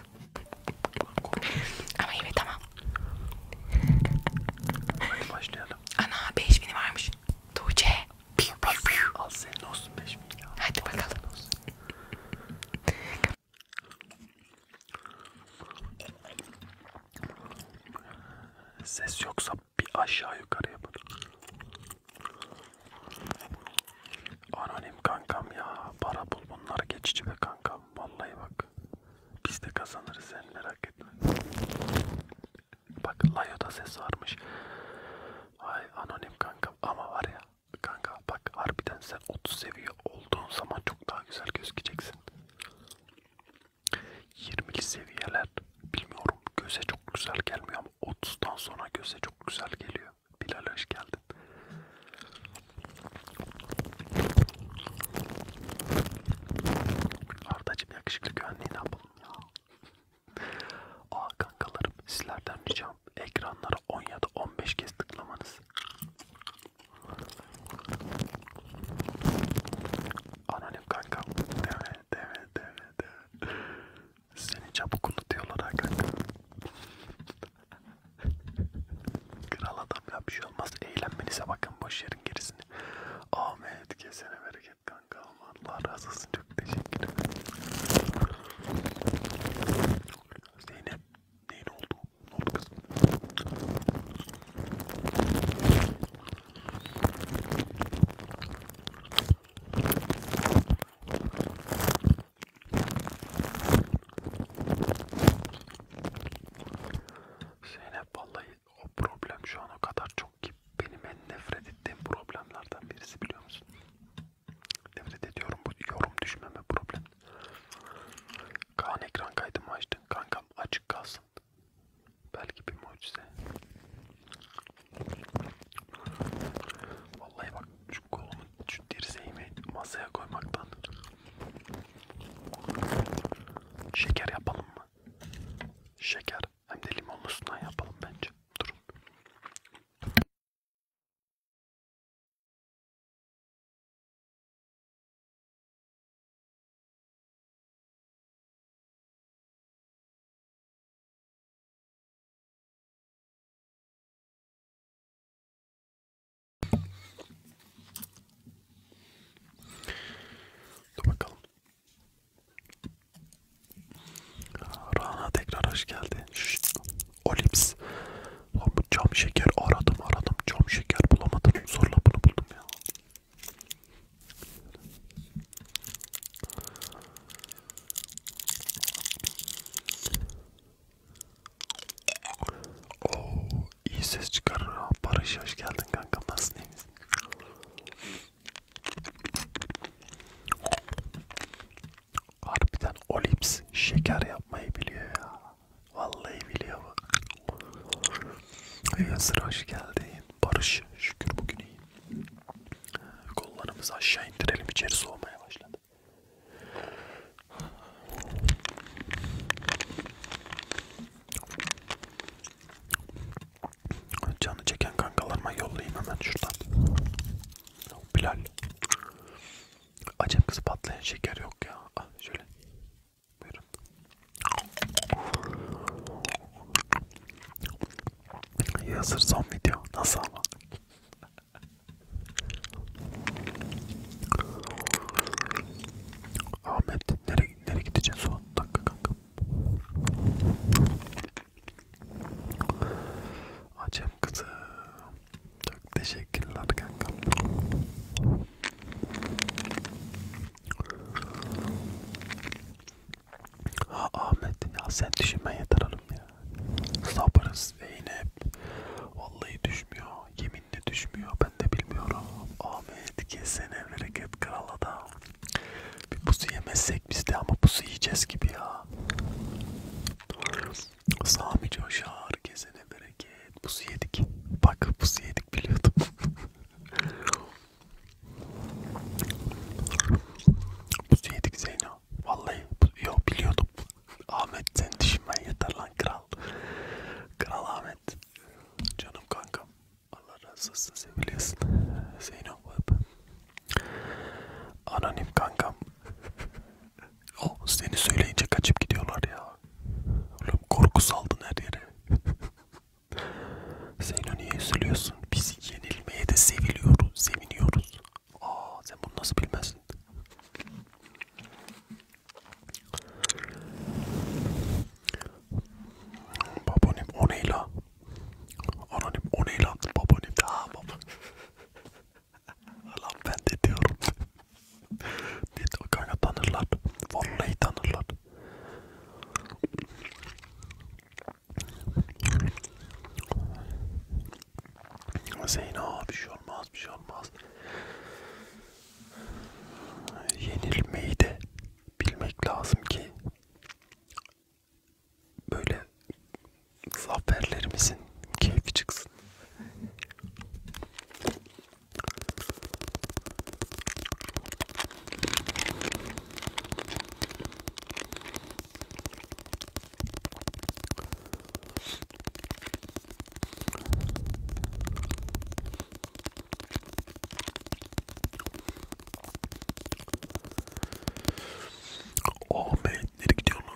Ama evet tamam. Hadi başlayalım. Ana 5000'i varmış. Tuğçe. Piu, piu, piu. Al senin olsun 5000 ya. Hadi bakalım. Olsun. Ses yoksa bir aşağı yukarı yapın. Anonim kankam ya. Para bul bunlar geçici be kankam. Vallahi bak. Biz de kazanırız sen merak etme. Bak Layo'da ses varmış. Ay anonim kankam ama var ya Kanka bak harbiden sen 30 seviye olduğun zaman çok daha güzel gözükeceksin. 20'li seviyeler bilmiyorum göze çok güzel gelmiyor ama 30'dan sonra göze çok güzel geliyor. Bilal hoş geldin. Ardacım yakışıklı güvenliği ne yapalım ya. Aa kankalarım sizlerden rica akşam ekranlara 10 ya da 15 kez tıklamanız anonim kanka deme deme deme deme seni çabuk unutuyorlar ha kanka kral adam ya bir şey olmaz eğlenmenize bakın boş yerin gerisini Ahmet kesene bereket kanka Allah razı olsun çok teşekkür ederim Zeynep neyin oldu? Ne oldu kızım? Zeynep vallahi o problem şu an o kadar çok ki benim en nefret ettiğim problemlerden birisi biliyor musun? Nefret ediyorum bu yorum düşmeme problem. Kaan ekran kaydımı açtın. Kankam açık kalsın. Belki bir mucize. Vallahi bak şu kolumu, şu dirseğimi masaya koymaktan. Şeker yapalım mı? Şeker. Hem de limonlusundan yapalım bence. Durun. Dur bakalım. Rana tekrar hoş geldi. Şşt. Olips. Lan bu cam şeker aradım aradım cam şeker bulamadım. Zorla bunu buldum ya. Oo, iyi ses çıkarır ha. Barış hoş geldin kanka nasılsın iyi misin? Harbiden Olips şeker yapmayı biliyor ya. Vallahi biliyor bu. Yazır hoş geldin. Barış şükür bugün iyi. Kollarımızı aşağı indirelim içeri soğumaya başladı. Canı çeken kankalarıma yollayayım hemen şuradan. Bilal. Acem kızı patlayan şeker yok ya. Ah, şöyle. Buyurun. Yazır son video. Nasıl ama? Ahmet nereye, nereye gideceğiz son dakika kanka? Acem kızım. Çok teşekkürler kanka. Ha Ahmet ya sen düşünme yeter hanım ya. Sabırız Zeynep. Vallahi düşmüyor. Yeminle düşmüyor. Ben de bilmiyorum. Ahmet kesene bereket kral adam. Bir pusu yemezsek biz de ama pusu yiyeceğiz gibi ya. Sami coşar gezene bereket. Pusu yedik. Bak pusu yedik biliyordum. pusu yedik Zeyno. Vallahi yo biliyordum. Ahmet sen düşünmen yeter lan kral. Kral Ahmet. Canım kankam. Allah razı olsun seviliyorsun. Zeyno. Anonim kankam. O seni söyleyince kaçıp gidiyorlar ya. Oğlum korku saldın her yere. Zeyno niye üzülüyorsun? Biz yenilmeye de seviliyoruz, seviniyoruz. Aa sen bunu nasıl bilmezsin? Babonim o neyla? Anonim o neyla? Babonim. Aa baba. Lan ben de diyorum. Net o kanka tanırlar. Vallahi tanırlar. Zeyno bir şey olmaz bir şey olmaz. Yenilmeyi de bilmek lazım ki böyle zaferlerimizin keyfi çıksın. Oh man, nereye gidiyorsun?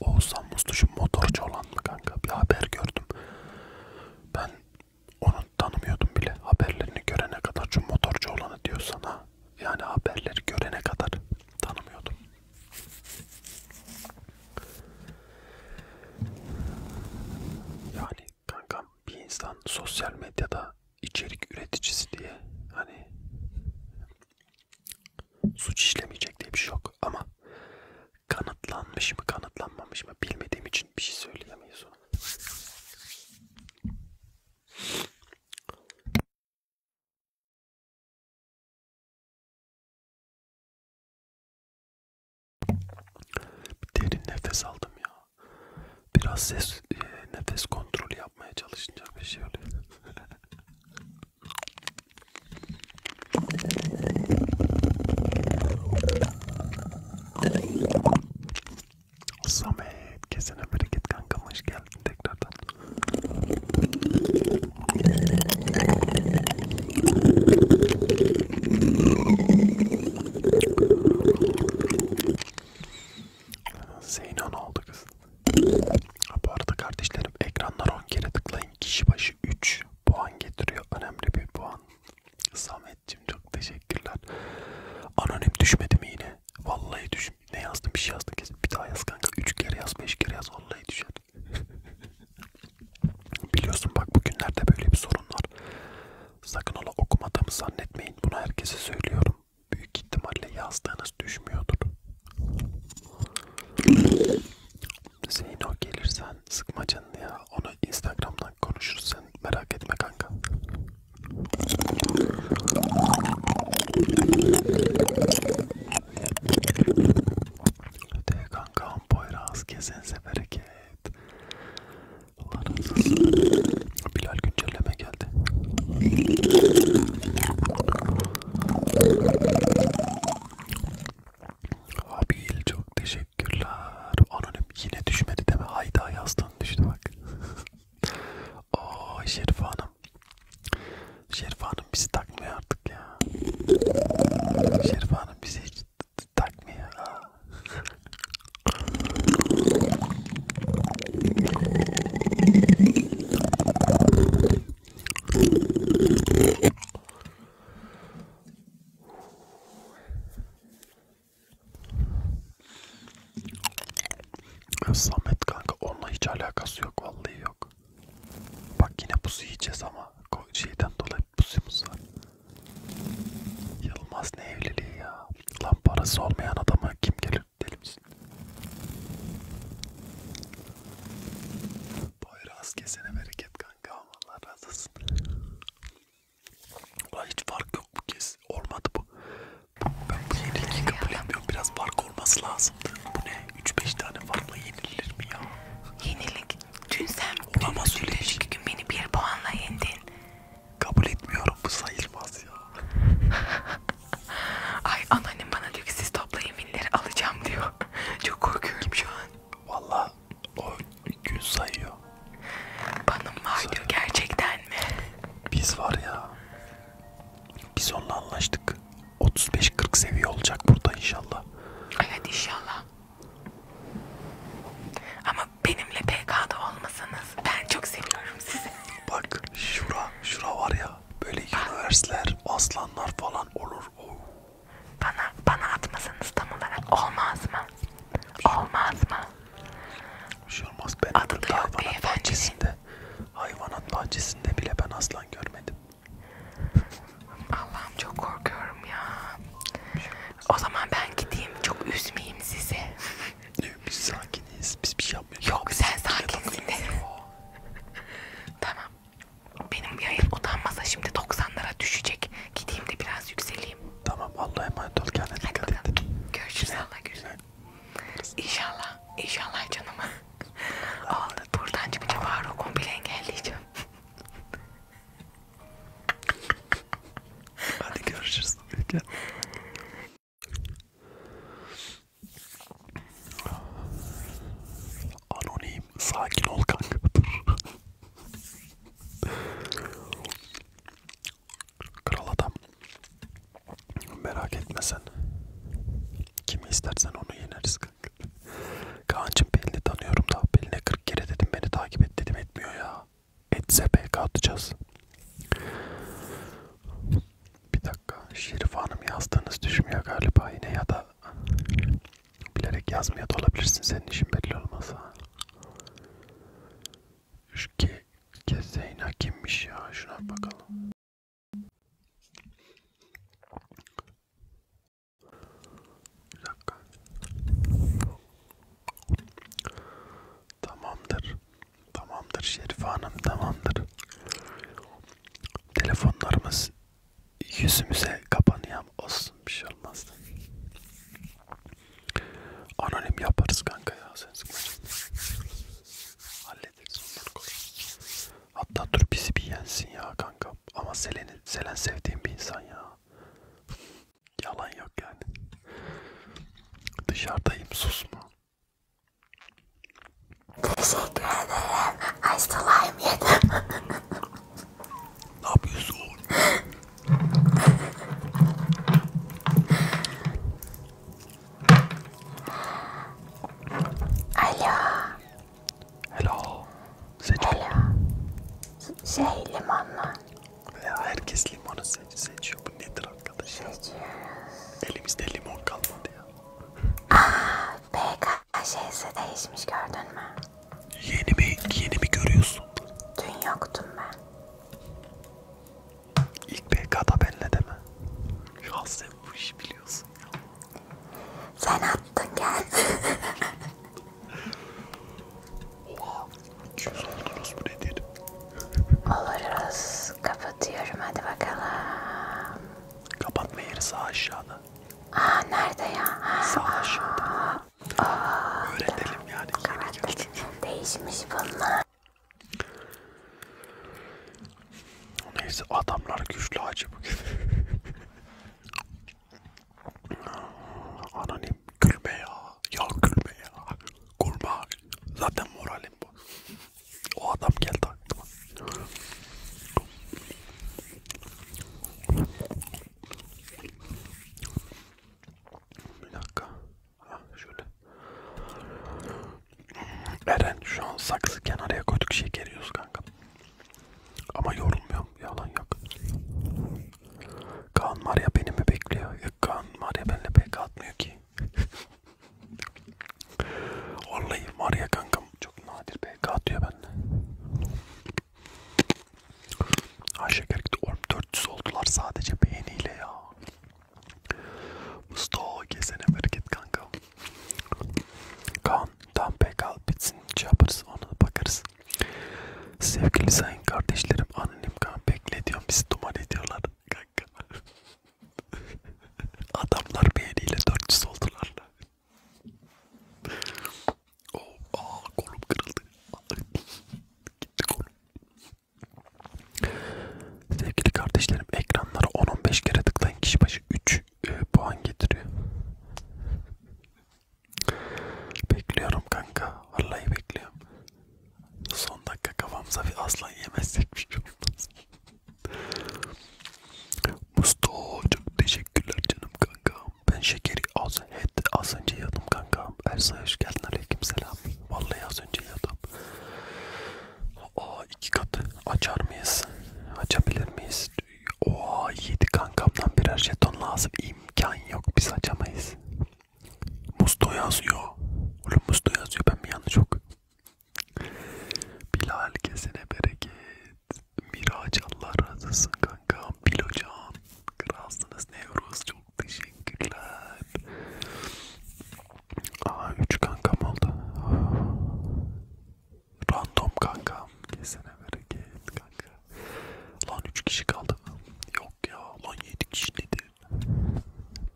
Oğuzhan Mustuş'un motorcu olan mı kanka? Bir haber gördüm. Ben onu tanımıyordum bile. Haberlerini görene kadar şu motorcu olanı diyor sana. Yani haberleri görene kadar tanımıyordum. Yani kankam bir insan sosyal medyada içerik üreticisi diye hani suç işlemeyecek diye bir şey yok ama kanıtlanmış mı kanıtlanmamış mı bilmediğim için bir şey söyleyemeyiz ona. Derin nefes aldım ya biraz ses e, nefes kontrolü yapmaya çalışınca bir şey oluyor. Samet kesene bereket kankam hoş geldin tekrardan. Zeynan oldu kız. Ha, bu arada kardeşlerim ekranlar 10 kere tıklayın. Kişi başı 3 puan getiriyor. Önemli bir puan. Samet'cim çok teşekkürler. Anonim düşmedi mi yine? Vallahi düş. Ne yazdım bir şey yazdım kesin. Bir daha yaz kanka. 3 kere yaz 5 kere yaz. Vallahi düşer. Biliyorsun bak bugünlerde böyle bir sorun var. Sakın ola okumadığımı zannetmeyin. Bunu herkese söylüyorum. Büyük ihtimalle yazdığınız düşmüyordur. Zeyno gelirsen sıkma canını ya. Onu Instagram'dan konuşuruz sen merak etme kanka. De kankam Poyraz kesin bereket. Allah razı olsun. Bilal güncelleme geldi. Abil çok teşekkürler. Anonim yine düşmedi deme. Hayda yazdın düştü bak. Oo Şerife Hanım. Şerife Hanım bizi takmıyor artık ya. Şerife Hanım bizi hiç takmıyor. Aa. Samet kanka onunla hiç alakası yok vallahi yok. Bak yine pusu yiyeceğiz ama şeyden dolayı pusumuz var. Yılmaz ne evliliği ya? Lan parası olmayan adama kim gelir? Deli misin? Poyraz kesene bereket kanka. Allah razı olsun. Ulan hiç fark yok bu kez. Olmadı bu. Ben bu yeniliği kabul etmiyorum. Biraz fark olması lazımdı. Bu ne? 3-5 tane farkla yenilir mi ya? Yenilik. Dün sen Olamaz dün, dün öyle dün, şey. gün beni bir puanla yendin. Kabul etmiyorum bu sayılmaz ya. Ay anneannem bana diyor ki siz toplayın vinleri alacağım diyor. Çok korkuyorum şu an. Valla o gün sayıyor. Banım var sayıyor. diyor gerçekten mi? Biz var ya. Biz onunla anlaştık. 35-40 seviye olacak burada inşallah. Evet inşallah. Ama benimle PK'da olmasanız ben çok seviyorum sizi. Bak şura, şura var ya böyle üniversiteler, aslanlar falan olur. Oo. Bana, bana atmasanız tam olarak olmaz mı? Olmaz mı? Bir şey olmaz. Ben Adı da yok hayvanat bahçesinde, hayvanat bahçesinde bile ben aslan görmedim. Allah'ım çok korkuyorum ya. Şey o zaman ben gideyim, çok üzmeyeyim sizi. Diyor biz sakiniz, biz bir şey yapmıyoruz. Yok sen şey sakinsin. tamam. Benim yayın utanmasa şimdi 90'lara düşecek. Gideyim de biraz yükseleyim. Tamam Allah'a emanet ol kendine Hadi dikkat bakalım. et. Görüşürüz Allah görüşürüz. İnşallah, inşallah canımı. Aa, buradan çıkınca Faruk'u komple engelleyeceğim. Hadi görüşürüz. Anonim sakin ol kanka. Kral adam. Merak etme sen. Kimi istersen onu yeneriz kanka. Kaan'cım Pelin'i tanıyorum da Pelin'e 40 kere dedim beni takip et dedim etmiyor ya. Etse BK atacağız. Bir dakika. Şerif Hanım yazdığınız düşmüyor galiba yine ya da bilerek yazmıyor da olabilirsin. Senin işin belli olmasa. Şu ke Kezeyna kimmiş ya? Şuna bakalım. Bir dakika. Tamamdır. Tamamdır Şerif Hanım tamamdır. Telefonlarımız yüzümüze kapanıyor olsun bir şey olmaz. Anonim yaparız kanka ya sen sıkma Hallederiz onları koy. Hatta dur bizi bir yensin ya kanka. Ama Selen'i Selen sevdiğim bir insan ya. Yalan yok yani. Dışarıdayım susma. Teşekkür ederim. Aşk olayım yedim. ne yapıyorsun? Alo. Hello. Seçim. Hello. Şey limonlu. Veya herkes limonu seç seçiyor. Bu nedir arkadaş? Elimizde limon kalmadı ya. Aaa BK şeysi değişmiş gördün mü? Yeni mi, yeni mi görüyorsun? Dün yoktum ben. İlk BK'da benle de mi? Ya sen bu işi biliyorsun ya. Sen attın gel. Oha. Yüz oldunuz bu nedir? Oluruz. Kapatıyorum hadi bakalım. Kapatma yeri sağ aşağıda. Aa nerede ya? Ha, sağ aa, aşağıda. Aa, Öğretelim aa, yani. Değişmiş bunlar. Neyse adamlar güçlü acı bugün. Anonim gülme ya. Ya gülme ya. Kurma Zaten moralim bu. O adam geldi aklıma. Bir dakika. Ha, şöyle. Eren şu an saksı kenarıya koyduk şeker yiyoruz kanka. Ama yorulmuyorum. Yalan yok. Kaan Maria beni mi bekliyor? Yok Kaan Maria benimle pek atmıyor ki. Vallahi var ya kankam çok nadir PK atıyor bende. Ay şeker gitti. Oğlum 400 oldular sadece beğeniyle ya. Mustafa kesene bereket kanka. Kaan tam PK bitsin şey yaparız ona bakarız. Sevgili sayın kardeşlerim anonim kan bekle diyorum bizi duman ediyorlar kanka. Adamlar beğeniyle dörtçüsü oldular lan. Oh, aa, kolum kırıldı. Gitti kolum. Sevgili kardeşlerim ekranlara 10-15 kere tıklayın kişi başı 3 e, puan getiriyor. Bekliyorum kanka. Vallahi bekliyorum. Son dakika kafamıza bir aslan yemezsek bir şey olmaz. Mustafa çok teşekkürler canım kankam. Ben şekeri az, het, az önce yadım kankam. Ersan hoş geldin aleyküm selam. Vallahi az önce yadım. Aa iki katı açar mıyız? Açabilir miyiz? Oha yedi kankamdan birer jeton lazım. İmkan yok biz açamayız. Musto yazıyor. Oğlum Musto yazıyor. Ben mi yanlış yok? Bilal kesene bereket. Miraç Allah razı olsun kankam. Bil hocam. Kralsınız Nevruz. Çok teşekkürler. Aa 3 kankam oldu. Random kankam. Kesene bereket kanka. Lan 3 kişi kaldı. Yok ya. Lan 7 kişi dedi gün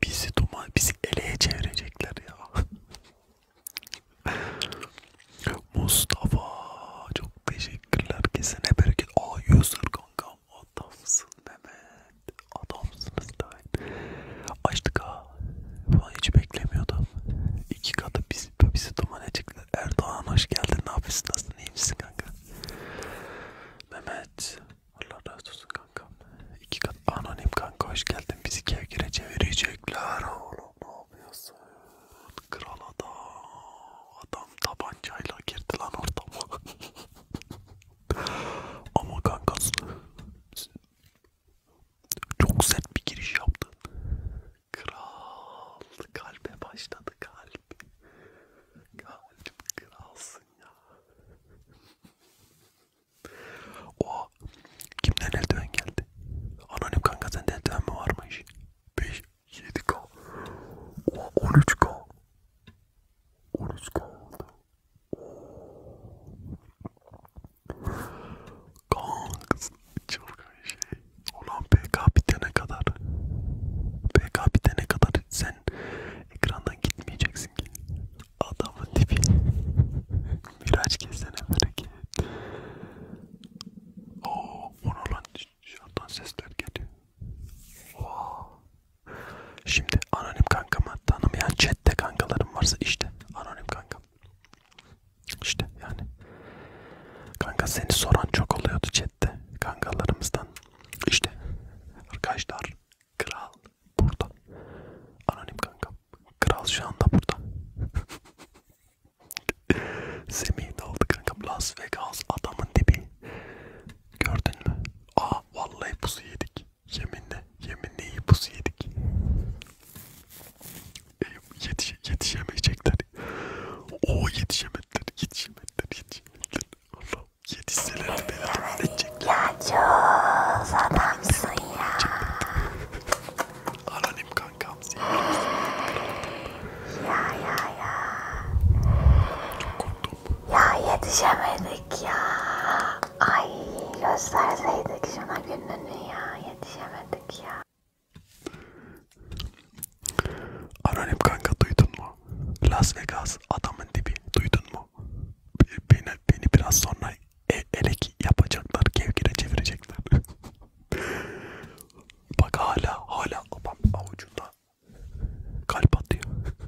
bizi duman, bizi eleye çevirecekler ya. Mustafa çok teşekkürler kesene bereket. Aa user kankam adamsın Mehmet. Adamsınız da. Açtık ha. Falan hiç beklemiyordum. İki katı bizi, bizi duman edecekler. Erdoğan hoş geldin. Ne yapıyorsun? Nasılsın? İyi misin kanka? Mehmet Allah razı olsun kankam. İki kat anonim kanka hoş geldin. Bizi kevgire çevirecekler oğlum. Ne yapıyorsun? Kral adam. Adam tabancayla girdi lan ortama. Ama kankası çok sert bir giriş yaptın. Kral. Kalbe başladı kalp. Kalp kralsın ya. O kimden eldiven geldi? Anonim kanka sende eldiven mi varmış? 5, 7k, o 13k, 13k oldu. Kanks çılgın şey. Ulan PK bitene kadar, PK bitene kadar sen ekrandan gitmeyeceksin ki. Adamın tipi. Miraç kessene bereket. Oo, ona lan dışarıdan sesler geliyor. Wow. Şimdi anonim kankamı tanımayan chatte kankalarım varsa işte anonim kankam. İşte yani. Kanka seni soran çok oluyordu chatte kankalarımızdan. İşte arkadaşlar Kral burada. Anonim kankam. Kral şu anda burada. Semih ne oldu kankam? Las Vegas adamın dibi. Gördün mü? Aa vallahi pusu yedik. Yeminle. Yeminle iyi pusu yedik. E, yetiş yetişemeyecekler. Oo yetişemediler. Yetişemediler. Yetişemediler. Allah yedi senelerdi beni rahat edecekler. Ya Cuz adamsın ya. Anonim kankam Ya ya ya. Çok korktum. Ya yetişemedik ya. Ay gösterseydik şuna gününü ya yetişemedik ya. Anonim kanka duydun mu? Las Vegas adamın dibi duydun mu? tamam. Beni, beni biraz sonra e, elek yapacaklar, kevgire çevirecekler. Bak hala, hala babam avucunda kalp atıyor.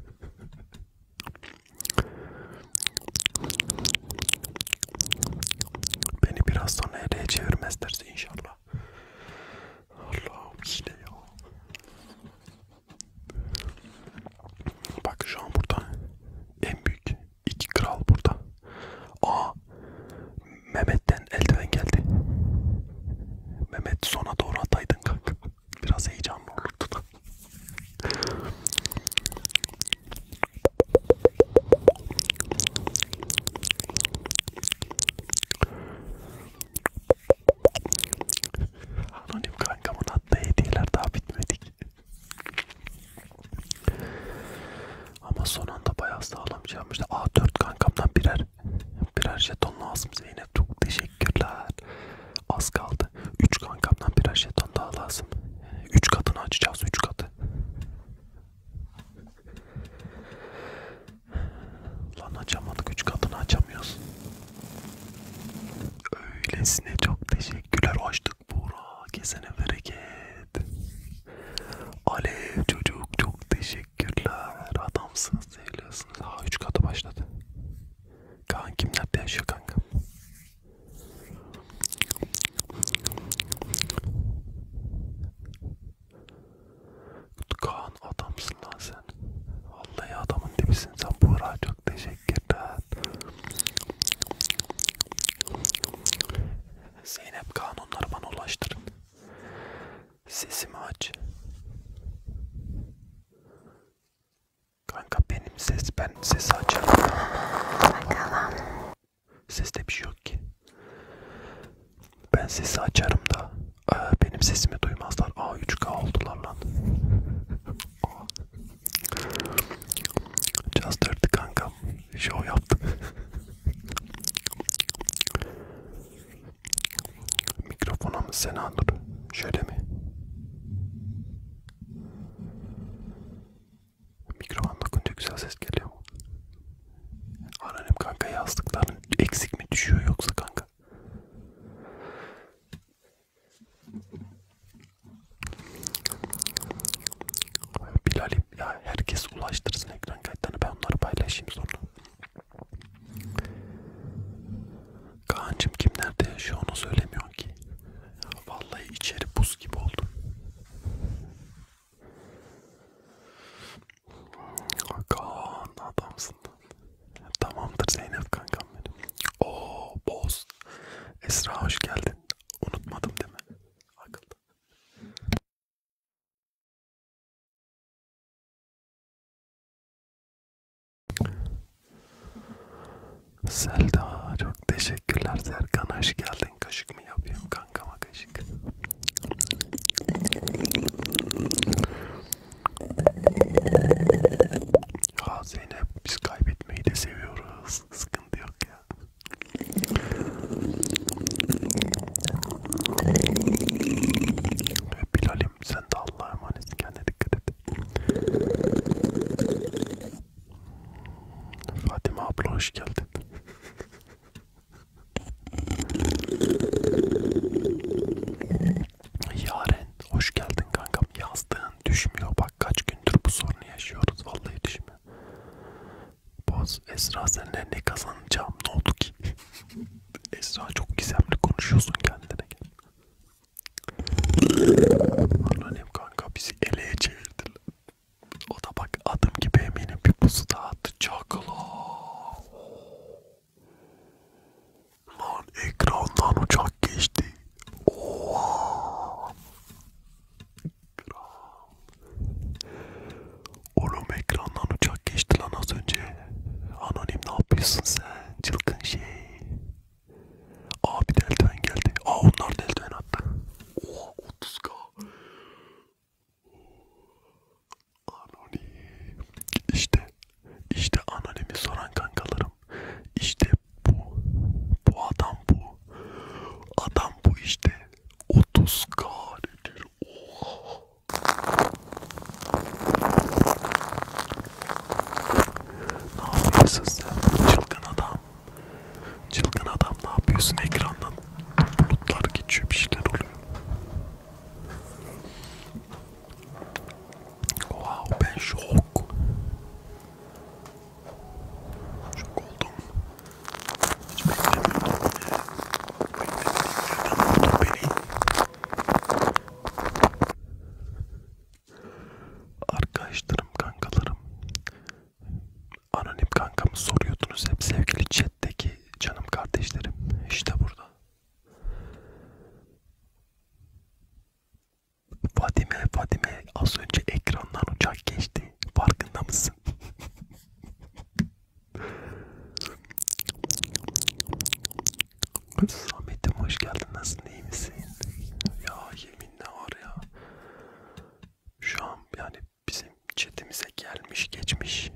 Beni biraz sonra eleğe çevirmezlerse inşallah. Allah'ım yine ya. Bak şu an burada en büyük iki kral burada. Aa Mehmet'ten eldiven geldi. Mehmet sona doğru ataydın kanka. Biraz heyecanlı olurdu da. Anonim Kankamın attığı hediyeler daha bitmedik. Ama son anda bayağı sağlam çalmıştı. Şey A4 kankamdan birer birer jeton lazım Zeynep. Çok teşekkürler. Az kaldı. 3 kankamdan birer jeton daha lazım. 3 katını açacağız. 3 katı. Lan açamadık. 3 katını açamıyoruz. Öylesine çok teşekkürler. Açtık Buğra. Kesene bereket. Alev çocuk çok teşekkürler. Adamsınız seviyorsunuz. Ha 3 katı başladı. Kankim nerede yaşıyor kanka? Kaan adamsın lan sen. Vallahi adamın dibisin sen Buğra çok teşekkür Girdan. Zeynep kanunları bana ulaştırın. Sesimi aç. Kanka benim ses, ben sesi açarım. Bakalım. Seste bir şey yok ki. Ben sesi açarım da benim sesimi duymazlar. A3K oldular lan. Cazdırdı kankam. Şov yaptı. Mikrofona mı Sena dur? Şöyle mi? Mikrofon dokunca güzel ses geliyor mu? Aranem kanka yazdıkların eksik mi düşüyor yoksa kanka? Bilal'im ya herkes ulaştırsın ekran kayıtlarını ben onları paylaşayım sonra. Kaan'cım kim nerede yaşıyor onu söylemiyorsun ki. Vallahi içeri buz gibi oldu. Kaan adamsın. Tamamdır Zeynep kankam benim. Oo boz. Esra hoş geldin. Unutmadım değil mi? Akıllı. Selda çok teşekkürler Serkan hoş geldin. Kaşık mı yapıyorum kankama kaşık. Ya Zeynep biz kaybetmeyi de seviyoruz. Sıkıntı yok ya. Bilal'im sen de Allah'a emanet kendine dikkat et. Fatime abla hoş geldin. Yaren hoş geldin kankam yazdın düşmüyor. Bak kaç gündür bu sorunu yaşıyoruz. Vallahi düşmüyor. Boz Esra senle ne kazanacağım ne oldu ki? Esra çok gizemli konuşuyorsun kendine. Annem kanka bizi eleye çevirdiler. O da bak adım gibi eminim bir pusu daha attı. Çakala. Lan ekrandan uçak geçti. Oha. Oğlum ekrandan uçak geçti lan az önce. Anonim ne yapıyorsun sen? Çılgın şey. Abi delten geldi. Aa onlar delten attı. Oha 30k. Anonim. İşte. İşte anonimi soran kankalarım. İşte bu. Bu adam bu. Adam bu işte. 30k nedir? Oha. Ne yapıyorsun sen? Çılgın adam. Çılgın adam ne yapıyorsun ekrandan? Bulutlar geçiyor bir şeyler oluyor. Wow ben şok. Şok oldum. Hiç beklemiyordum. Beni. Arkadaşlarım, kankalarım. Anonim kankamı soruyordunuz hep sevgili chat'teki canım kardeşlerim. İşte burada. Fatime, Fatime az önce ekrandan uçak geçti. Farkında mısın? Samet'im hoş geldin. Nasılsın? İyi misin? Ya yemin ne var ya. Şu an yani bizim chatimize gelmiş geçmiş.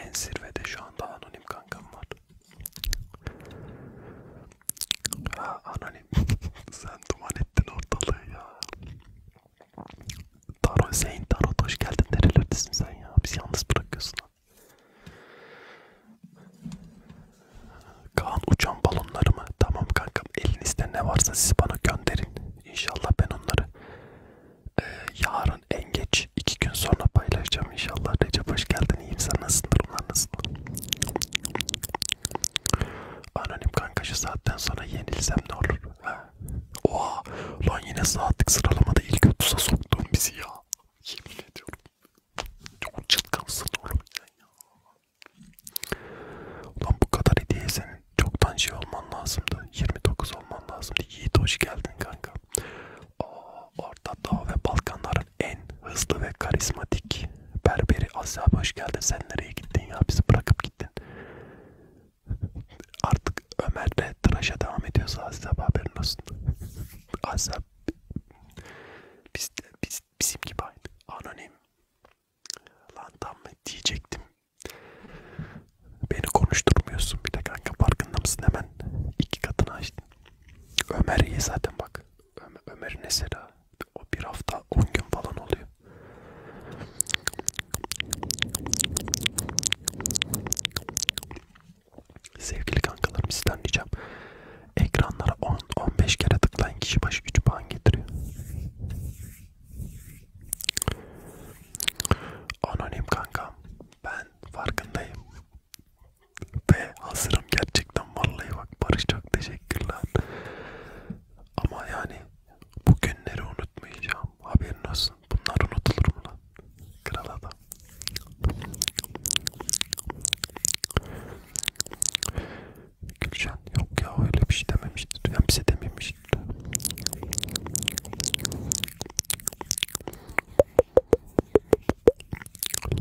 En zirvede şu anda anonim kankam var. Ha, anonim Sen duman ettin ortalığı ya. Taro Zeyn, Taro hoş geldin. Nerelerdesin sen ya? Bizi yalnız bırakıyorsun ha. Kaan uçan balonları mı? Tamam kankam elinizde ne varsa siz bana gönderin. İnşallah ben onları e, yarın en geç iki gün sonra paylaşacağım inşallah. Recep hoş geldin. İyiyim sen nasılsın? Durumlar nasıl? Anonim kanka şu saatten sonra yenilsem ne olur? Ha? Oha lan yine saatlik sıralamada ilk 30'a soktuğum bizi ya. Yemin ediyorum. Çok çılgınsın oğlum sen ya. Ulan bu kadar hediye senin çoktan şey olman lazımdı. 29 olman lazımdı. Yiğit hoş geldin kanka. Aa, orada Dağ ve Balkanlar Dünyanın en hızlı ve karizmatik berberi Asya abi hoş geldin. Sen nereye gittin ya? Bizi bırakıp gittin. Artık Ömer'le tıraşa devam ediyorsa Asya abi haberin olsun. Asya biz, biz, bizim gibi aynı. Anonim. Lan tam mı diyecektim. Beni konuşturmuyorsun bir de kanka farkında mısın hemen iki katını açtın. Ömer iyi zaten bak. Ömer, Ömer'in eseri ha. O bir hafta 10 gün falan oluyor. Sevgili kankalarım sizden diyeceğim. Ekranlara 10-15 kere tıklayan kişi başı 3 puan getiriyor. Anonim kankam ben farkındayım ve hazır barışacağım gerçekten vallahi bak Barış çok teşekkürler. Ama yani bu günleri unutmayacağım. Haberin olsun. Bunlar unutulur mu lan? Kral adam. Gülşen yok ya öyle bir şey dememiştir. Yani bize dememiştir.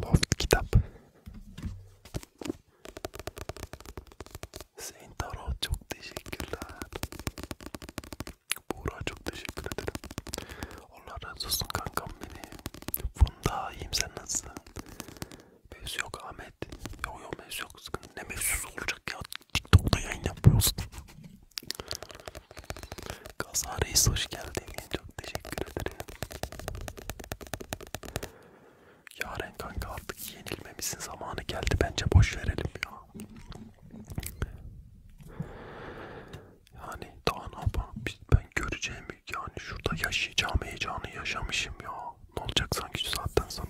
Loft kitap. Sayın Tarot çok teşekkürler. Buğra çok teşekkür ederim. Allah razı olsun kankam beni. Funda iyiyim sen nasılsın? Mevzu yok Ahmet. Yok yok mevzu yok sıkıntı. Ne mevzusu olacak ya? TikTok'ta yayın yapıyorsun. Gaza Reis hoş geldin. Çok teşekkür ederim. Yaren kanka artık yenilmemizin zamanı geldi bence boş verelim ya. Yani daha ne yapalım ben göreceğim yani şurada yaşayacağım heyecanı yaşamışım ya. Ne olacak sanki şu saatten sonra.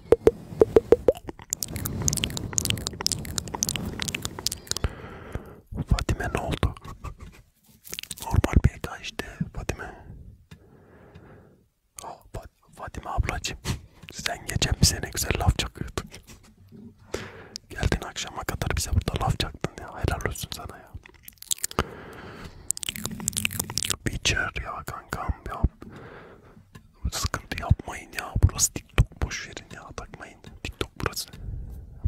Fatime ne oldu? Normal PK işte Fatime. Oh, Fat Fatime ablacığım sen geçen bize ne güzel laf çakıyordun. Geldin akşama kadar bize burada laf çaktın ya. Helal olsun sana ya. Witcher ya kankam ya Sıkıntı yapmayın ya. Burası TikTok boş verin ya. Takmayın. TikTok burası.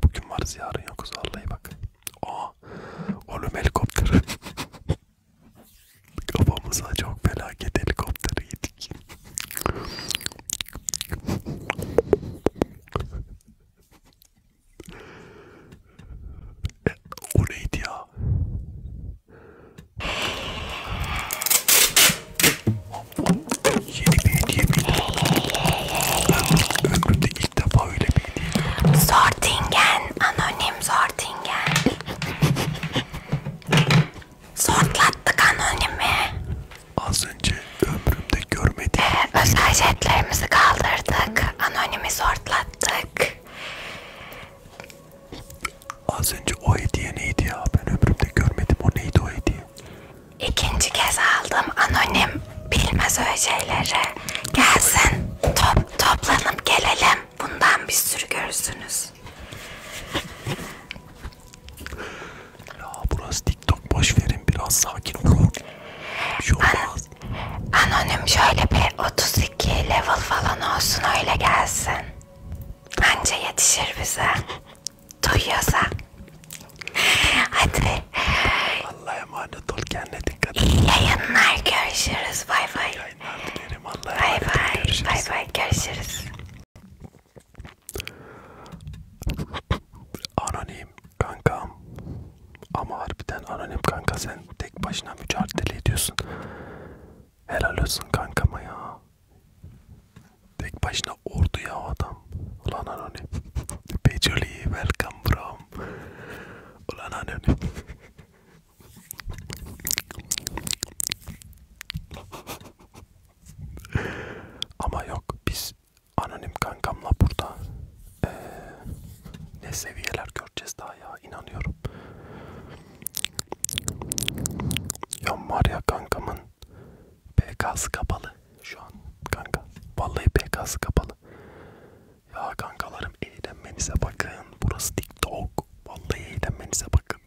Bugün varız yarın yokuz vallahi bak. Aa. Oğlum helikopter. Kafamıza çok felaket helikopteri yedik. e, o neydi ya? Yeni bir hediye bildim. Ömrümde ilk defa öyle bir hediye gördüm. Sortingen. Anonim Sortingen. Sortlattık anonimi. Az önce ömrümde görmediğim... Ee, özel jetlerimizi kaldırdık. Anonimi sortlattık. Az önce o hediye neydi ya? Ben ömrümde görmedim. O neydi o hediye? İkinci kez aldım anonim. Bilmez öyle şeyleri. Gelsin. Top, toplanıp gelelim. Bundan bir sürü görürsünüz. Ya burası TikTok boş verin biraz sakin olun. Bir şey An, anonim şöyle bir 32 level falan olsun öyle gelsin. Anca yetişir bize. Duyuyorsa. Hadi. Allah'a emanet ol kendine dikkat et. İyi yayınlar görüşürüz. Bay bay. Bay bay. Bay bay görüşürüz. Anonim kankam. Ama harbiden anonim kanka sen tek başına mücadele ediyorsun. Helal olsun kankama ya. Tek başına ordu ya adam. Ulan anonim. Pejoli welcome bro. Ulan anonim. Ama yok biz anonim kankamla burada ee, ne seviyeler göreceğiz daha ya inanıyorum. Ya Maria kankamın PK'sı kapalı şu an kanka. Vallahi PK'sı kapalı. Ya kankalarım eğlenmenize bakın. Burası TikTok. Vallahi eğlenmenize bakın.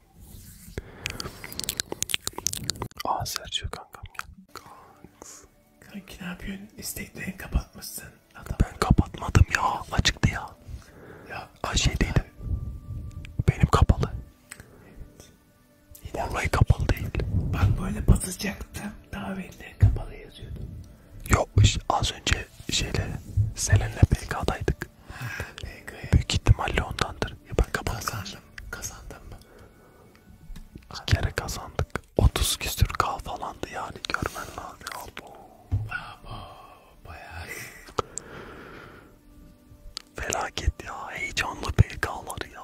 Aa Sergio kankam ya. Kanks. Kanki ne yapıyorsun? İsteklerini kapatmışsın. Adam. Ben kapatmadım ya. Açıktı ya. Ya Ha şeydeydi. Benim kapalı. Evet. Vallahi kapalı değil. Bak böyle basacaktım. Davetli kapalı yazıyordu. Yokmuş. Az önce şeyle Selen'le PK'daydık. Ha, PK. Büyük ihtimalle ondandır. Ya ben kapalı kazandım. Kazandım mı? İki kere kazandık. 30 küsür K falandı yani. Görmen lazım. Abo. Abo bayağı felaket ya heyecanlı PK'lar ya.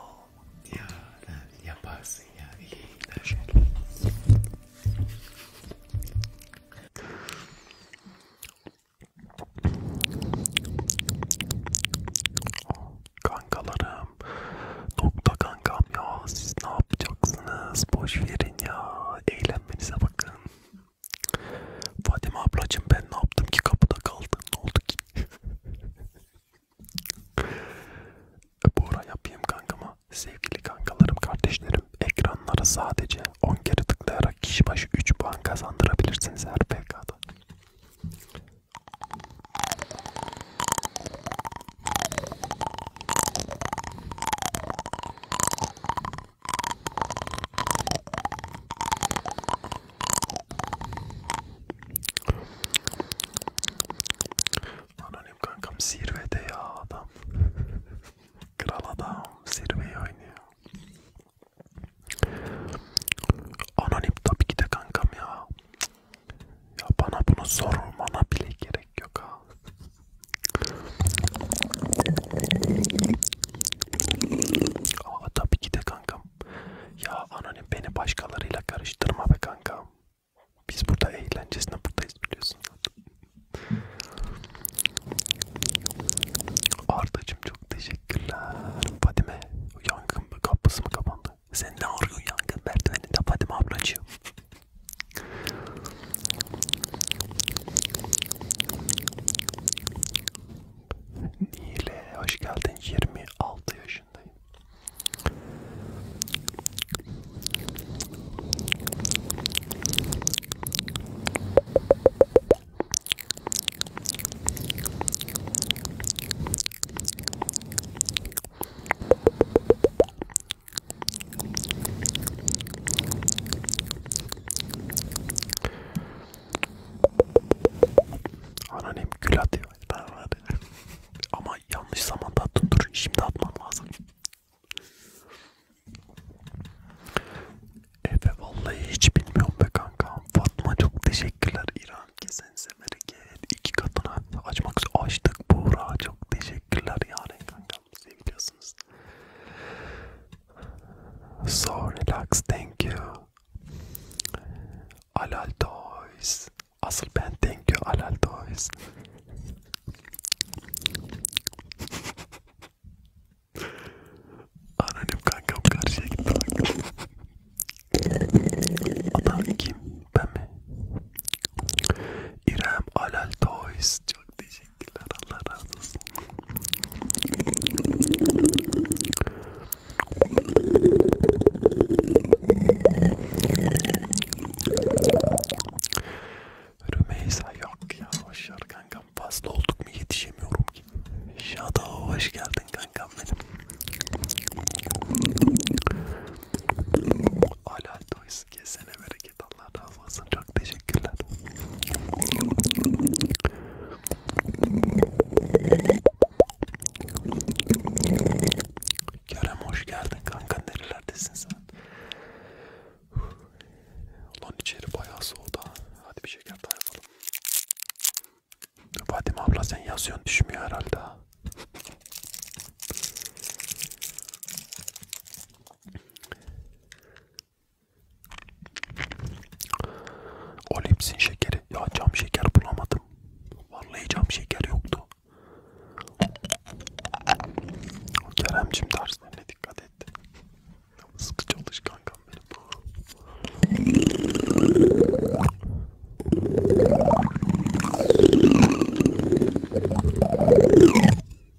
Ya yaparsın ya iyi. Kankalarım, nokta kankam ya siz ne yapacaksınız? Boş verin ya, eğlenmenize bakın. Fatime ablacım ben ne yaptım ki kapıda kaldın ne oldu ki? Bu ara yapayım kankama. Sevgili kankalarım, kardeşlerim ekranlara sadece 10 kere tıklayarak kişi başı 3 puan kazandırabilirsiniz her PK'da. Anonim kankam zirvede ya adam. Kral adam zirveyi oynuyor. Anonim tabii ki de kankam ya. Ya bana bunu sormana bile gerek yok ha. Ama tabii ki de kankam. Ya anonim beni başkalarıyla karıştırma be kankam. Biz burada eğlencesine buradayız biliyorsun zaten. Ardacım çok teşekkürler. Fadime yangın mı kapısı mı kapandı? Sen ne arıyorsun yangın merdiveninde Fadime ablacığım? Nile hoş geldin 26 yaşındayım. Anneannem gül atıyor. Ama yanlış zamanda attın dur. Şimdi atman lazım. Efe vallahi hiç bilmiyorum be kanka. Fatma çok teşekkürler. İran kesen semerek iki katına açmak açtık. Buğra çok teşekkürler yani kanka. Seviyorsunuz. So relax, thank you. Alal Toys. Asıl ben thank you Alal Toys. Anonim kankam karşıya gitti bak. Adam kim? Ben mi? İrem Alal Toys. Çok teşekkür Teşekkürler Allah razı olsun. Rümeysa yok ya hoşlar kankam fazla olduk mu yetişemiyorum ki. Şada hoş geldin kankam benim. Alal doysun kesene bereket git Allah razı olsun çok teşekkürler. Kerem hoş geldin kanka nerelerdesin sen? Ulan içeri bayağı soğudu hadi bir şeker daha yapalım. Fatima abla sen yazıyorsun düşmüyor herhalde ha. Olimsin şekeri. Ya cam şeker bulamadım. Vallahi cam şeker yoktu. Keremcim derslerine dikkat et. Sıkı çalış kankam benim.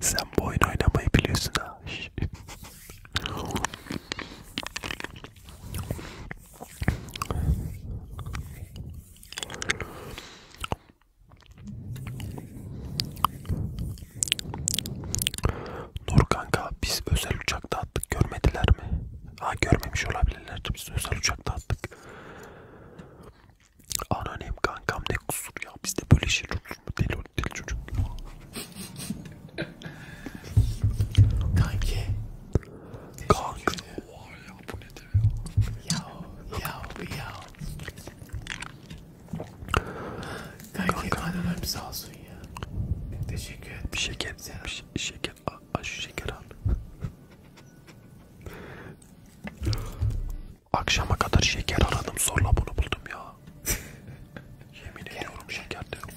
Sen bu oyun oynamayı biliyorsun ha. Nur kanka biz özel uçakta attık görmediler mi? Ha görmemiş olabilirler biz özel uçakta attık. Anonim kankam ne kusur ya bizde böyle şeyler olur mu? Deli, deli çocuk. Kanki. Kanki. Oha ya bu ne de ya. Yav yav Kanki annem sağ olsun ya. Teşekkür ederim. Bir şeker, bir şey, şeker, aç şeker al. Akşama kadar şeker aradım zorla bunu buldum ya. Yemin ediyorum şeker de yok.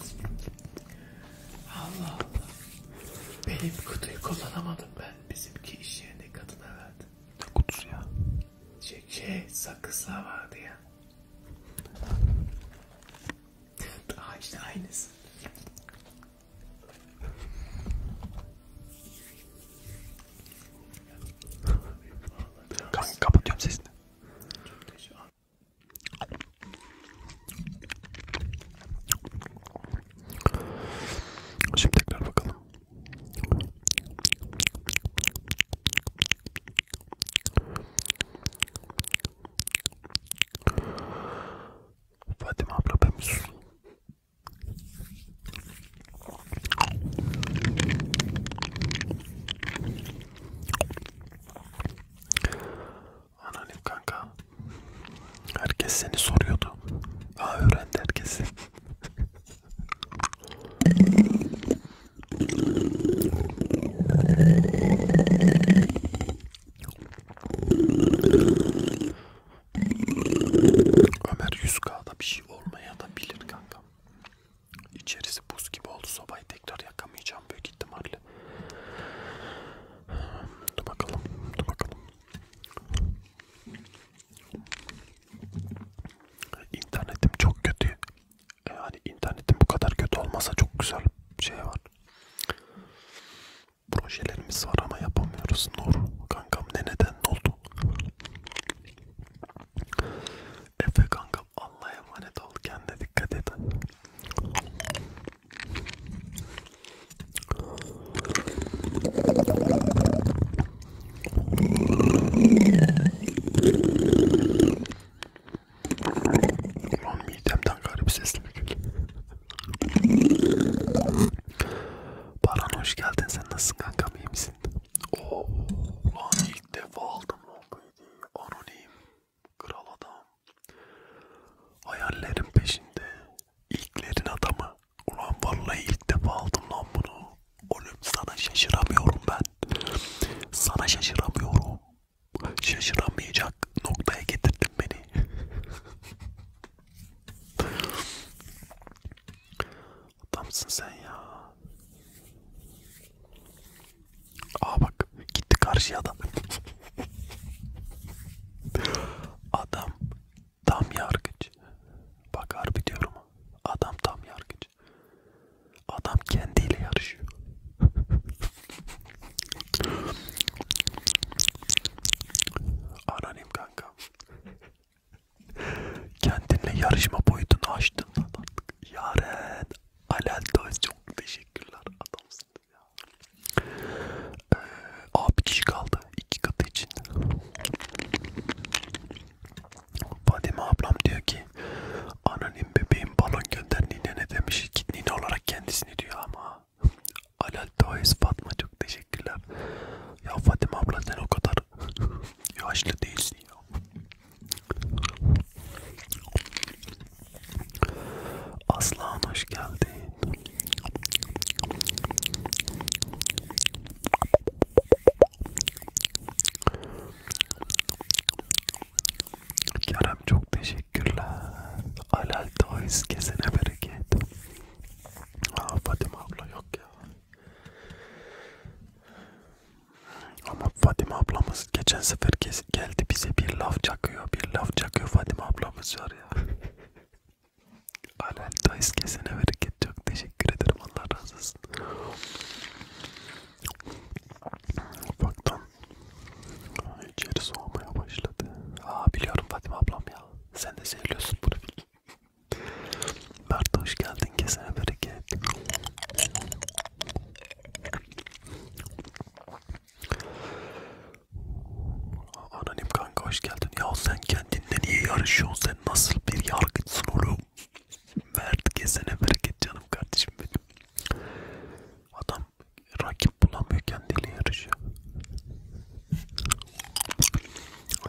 Allah Allah. Benim kutuyu kullanamadım ben. Bizimki iş yerinde kadına verdi. Ne kutusu ya? Şey, şey sakızlar vardı ya. Daha işte aynısı. Kanka kapatıyorum sesini. Şimdi tekrar bakalım. Fatima abla ben sus. Anonim kanka. Herkes seni soruyordu. Aa öğrendi herkesi. Ömer 100K'da bir şey olmaya da bilir kanka. İçerisi buz gibi oldu. Sobayı tekrar yakamayacağım büyük ihtimalle. Dur bakalım. Dur bakalım. İnternetim çok kötü. Yani e, internetim bu kadar kötü olmasa çok güzel bir şey var. Projelerimiz var ama yapamıyoruz. Nur kankam ne neden ne oldu? Efe kankam Allah'a emanet ol kendine dikkat et. Ulan midemden garip sesli bir gül. Baran hoş geldin sen nasılsın kankam iyi misin? Oo, ulan ilk defa aldım o Anonim, kral adam, hayallerin peşinde, ilklerin adamı. Ulan vallahi ilk defa aldım lan bunu. Oğlum sana şaşıramıyorum ben. Sana şaşıramıyorum. Şaşıramayacak noktaya getirdin beni. Adamsın sen ya. Aa bak gitti karşıya adam. adam tam yargıç. Bak harbi diyorum. Adam tam yargıç. Adam kendiyle yarışıyor. Anonim kanka. Kendinle yarışma boyutunu aştın lan artık. Yaren Alel Döz çok teşekkürler adamsın ya. Ee, abi kişi kaldı iki katı için. Fadime ablam diyor ki anonim bebeğin balon gönder nine ne demiş ki nine olarak kendisini diyor ama Alel Döz Fatma çok teşekkürler. Ya Fadime abla sen o kadar yaşlı değilsin ya. Aslan hoş geldin. Kerem çok teşekkürler. Alal Toys kesene bereket. Aa Fatima abla yok ya. Ama Fatime ablamız geçen sefer geldi bize bir laf çakıyor. Bir laf çakıyor Fatime ablamız var ya. Alel dayız kesene bereket çok teşekkür ederim Allah razı olsun. Ufaktan içeri soğumaya başladı. Aa biliyorum Fatime ablam ya. Sen de seviyorsun bunu. Mert hoş geldin kesene bereket. Anonim kanka hoş geldin. Ya sen kendinle niye yarışıyorsun? Sen nasıl bir yargıçsın oğlum? Mert kesene bereket canım kardeşim benim. Adam rakip bulamıyor kendiyle yarışıyor.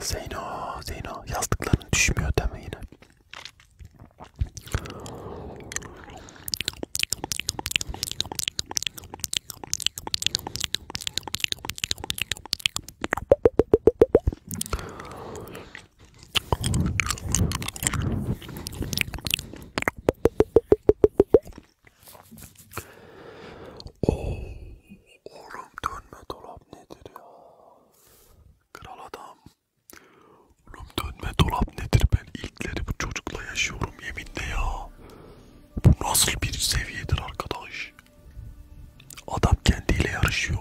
Zeyno, Zeyno. Yastıkların düşmüyor değil mi yine? Oh, oğlum dönme dolap nedir ya? Kral adam. Oğlum dönme dolap nedir ben ilkleri bu çocukla yaşıyorum yeminle ya. Bu nasıl bir seviyedir arkadaş? Adam kendiyle yarışıyor.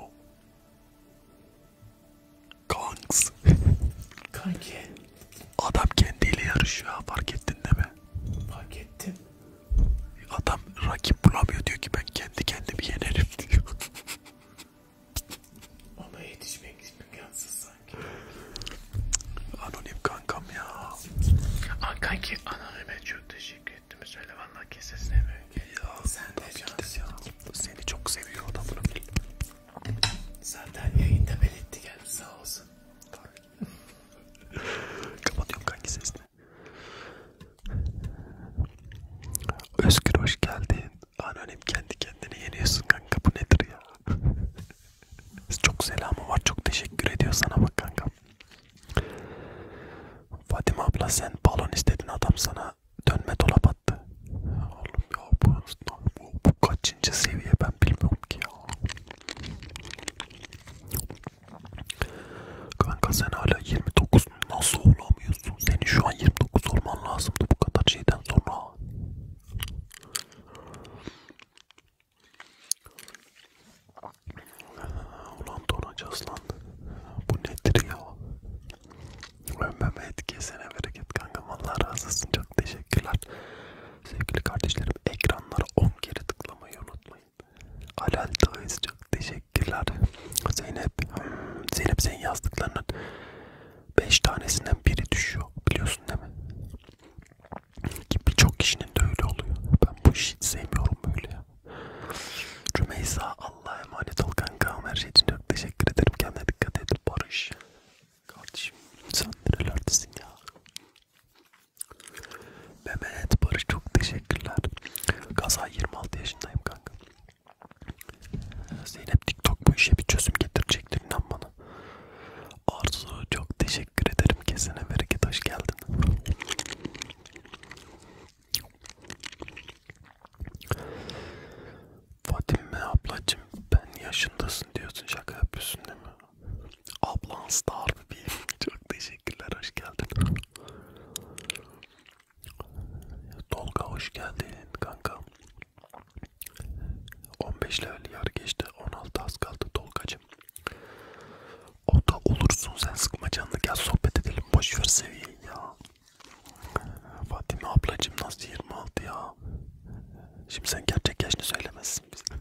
Kanks. Kanki. Adam kendiyle yarışıyor ha fark ettin değil mi? Fark ettim. Adam rakip bulamıyor diyor ki ben kendi kendimi yenerim diyor. Ona yetişmek imkansız sanki. Anonim kankam ya. Aa, kanki anonime çok teşekkür ettim. Söyle valla kesesine mi? Ya sen de cansın. Ya. Seni çok seviyor adam bunu bil. Zaten yayında belirtti geldi sağ olsun. Kapatıyorum kanki sesini. Özgür hoş geldin. Anonim kendi kendini yeniyorsun kanka bu nedir ya? çok selamı var çok teşekkür ediyor sana bak kanka. Fatime abla sen balon istedin adam sana dönme dolap attı. Oğlum ya bu, bu, bu kaçıncı seviye ben bilmiyorum ki ya. Kanka sen hala 29 nasıl olamıyorsun? soruyorsun? Senin şu an 29 sorman lazımdı bu kadar şeyden sonra. Ulan donacağız lan. Bu nedir ya? Ölmeme etkisine bereket kanka. Vallahi razısın. Çok teşekkürler. Sevgili kardeşlerim ekranlara 10 kere tıklamayı unutmayın. Alal Dağız çok teşekkürler. Zeynep, hmm, Zeynep senin yazdıklarının 5 tanesinden biri düşüyor biliyorsun değil mi? Ki birçok kişinin de öyle oluyor. Ben bu işi hiç sevmiyorum böyle ya. Rümeysa Allah'a emanet ol kankam her şey için çok teşekkür ederim. Kendine dikkat et Barış. Kardeşim sen nerelerdesin ya? Mehmet Barış çok teşekkürler. Gaza 26 yaşındayım kanka. Zeynep TikTok bu işe bir çözüm getirecektir inan bana. Arzu çok teşekkür ederim kesene bereket hoş geldin. Fatime ablacım ben yaşındasın diyorsun şaka yapıyorsun değil mi? Ablan star bebeğim çok teşekkürler hoş geldin. Tolga hoş geldin kanka. 15 level yarı geçti. 16 az kaldı Tolgacım. O da olursun sen sıkma canını gel sohbet edelim. Boşver seviyeyi ya. Fatime ablacım nasıl 26 ya? Şimdi sen gerçek yaşını söylemezsin bize.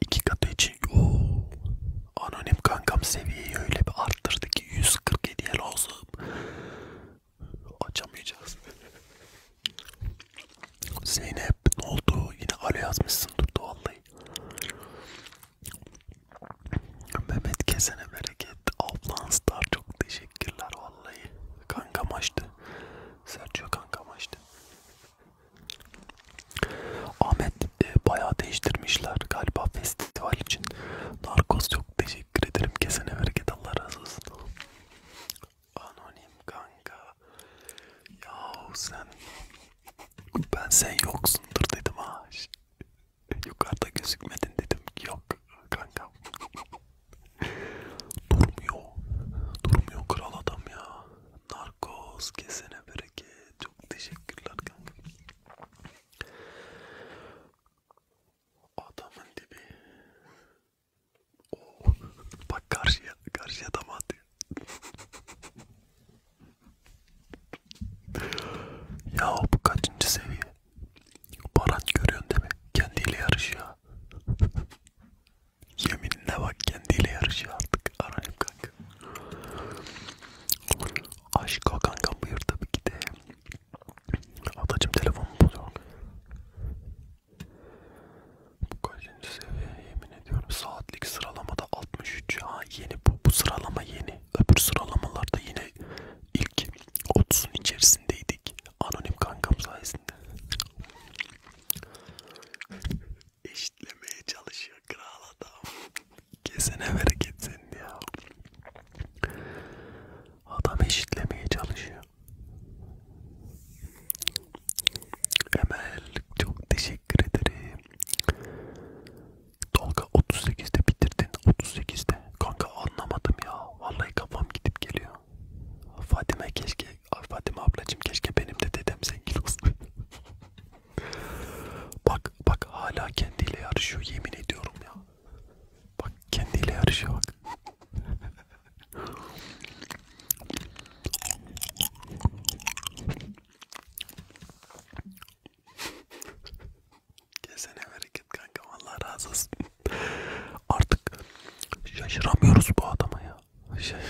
İki katı için. Oo. Anonim kankam seviyeyi öyle bir arttırdı ki 147'ye lazım. Açamayacağız. Zeynep ne oldu? Yine alo yazmışsındır vallahi. Mehmet kesene bereket. Ablan Star çok teşekkürler vallahi. Kankam açtı. Sergio kankam açtı. Ahmet e, bayağı değiştirmişler galiba festival için. Narkoz çok teşekkür ederim. Kesene bereket Allah razı olsun. Anonim kanka. Yahu sen ben sen yoksundur dedim ha. Yukarıda gözükmedin dedim. Yok kanka. durmuyor. Durmuyor kral adam ya. Narkoz kesene bereket. Çok teşekkürler kanka. Adamın dibi. Oo. Bak karşıya, karşıya da atıyor. ya bu kaçıncı seviye? Baran görüyorsun değil mi? Kendiyle yarışıyor. Yeminle bak kendiyle yarışıyor artık. Arayayım kanka. Aşka kankam buyur tabii ki de. Atacım telefonumu buluyorum. Bu kaçıncı seviye yemin ediyorum. Saatlik sıralamada 63. Ha yeni bu, bu sıralama yeni. Öbür sıralamalarda yine ilk 30'un içerisindeydik. Anonim kankam sayesinde. Eşitlemeye çalışıyor kral adam. Kesene bereketsin ya. Adam eşitlemeye çalışıyor. Emel çok teşekkür ederim. Tolga 38'de bitirdin. 38'de. Kanka anlamadım ya. Vallahi kafam gidip geliyor. Fatime keşke Fatime ablacım keşke benim de dedem zengin olsun. Bak bak hala kendiyle yarışıyor yemin ediyorum ya. Bak kendiyle yarışıyor bak. Kesene bereket kanka vallahi razı olsun. Artık şaşıramıyoruz bu adama ya. Şey.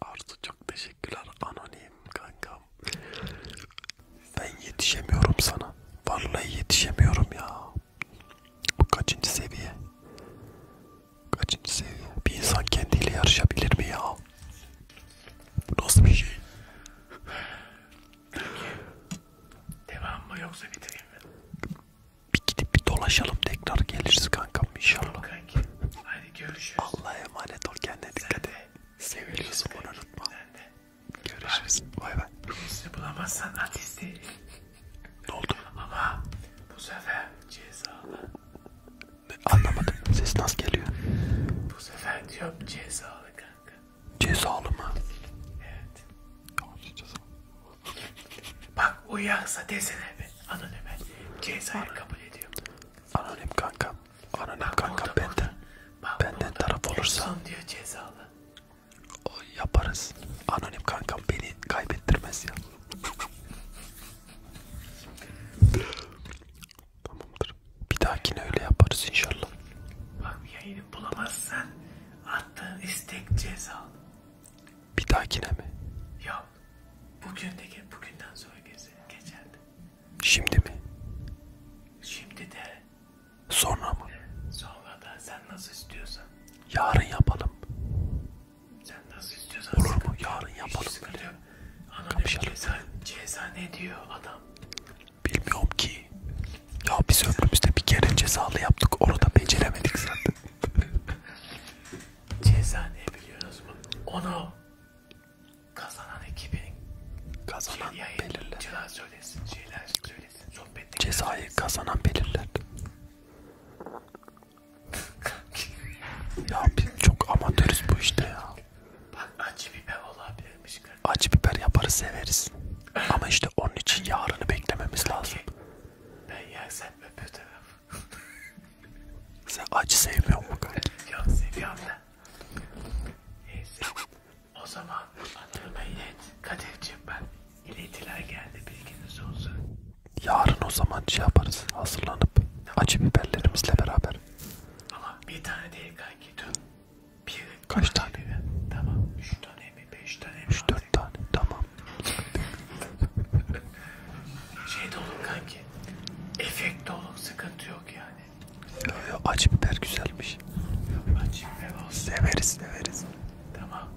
Arzu çok teşekkürler anonim kanka ben yetişemiyorum sana. Vallahi yetişemiyorum ya. Bu kaçıncı seviye? Kaçıncı seviye? Bir insan kendiyle yarışabilir mi ya? Bu nasıl bir şey? Peki, devam mı yoksa bitireyim mi? Bir gidip bir dolaşalım tekrar geliriz kankam inşallah. Kanki. Hadi görüşürüz. Allah'a emanet ol kendine dikkat et. Seviliyorsun bunu unutma. Görüşürüz. Vay be. Birisini bulamazsan ateist değil. Ne oldu? Ama bu sefer cezalı. Anlamadım. Ses nasıl geliyor? Bu sefer diyorum cezalı kanka. Cezalı mı? Evet. Bak uyarsa desene be. Anonime. Cezayı kabul ediyorum. Anonim kanka. Anana kanka o benden, bak, benden taraf olursa diyor cezalı. O yaparız. Anonim kankam beni kaybettirmez ya. Tamamdır. Bir dahakine öyle yaparız inşallah. Bak yayını bulamazsan attığın istek cezalı. Bir dahakine mi? Yok. Bugün de bugünden sonra geçerdi. Şimdi mi? Şimdi de. Sonra mı? Sonra da sen nasıl istiyorsan. Yarın yapalım. Sen nasıl istiyorsan. Olur mu? Yarın yapalım böyle. Ananı ceza, ceza ne diyor adam? Bilmiyorum ki. Ya biz ömrümüzde bir kere cezalı yaptık. Orada beceremedik zaten. ceza ne biliyorsunuz mu? Onu Kazanan ekibin kazanan yayın, belirler. söylesin, şeyler söylesin. Sohbette Cezayı söylesin. kazanan belirler. ya biz çok amatörüz bu işte ya. Bak acı biber olabilirmiş. Kardeşim. Acı biber yaparız severiz. Ama işte onun için yarını beklememiz Kanki, lazım. Ben yersem öbür taraf. Sen acı sevmiyor mu kanka? Yok seviyorum da. Neyse. O zaman Anıl'ıma ilet. Kadir'cim ben iletiler geldi bilginiz olsun. Yarın o zaman şey yaparız hazırlanıp tamam. acı biberlerimizle beraber. Ama bir tane değil kanki dün. Bir Kaç tane? Mi? Tamam üç tane mi beş tane mi? Üç dört tane tamam. şey de olur kanki. Efekt de olur sıkıntı yok yani. Acı biber güzelmiş. Acı biber olsun. Severiz severiz. Tamam.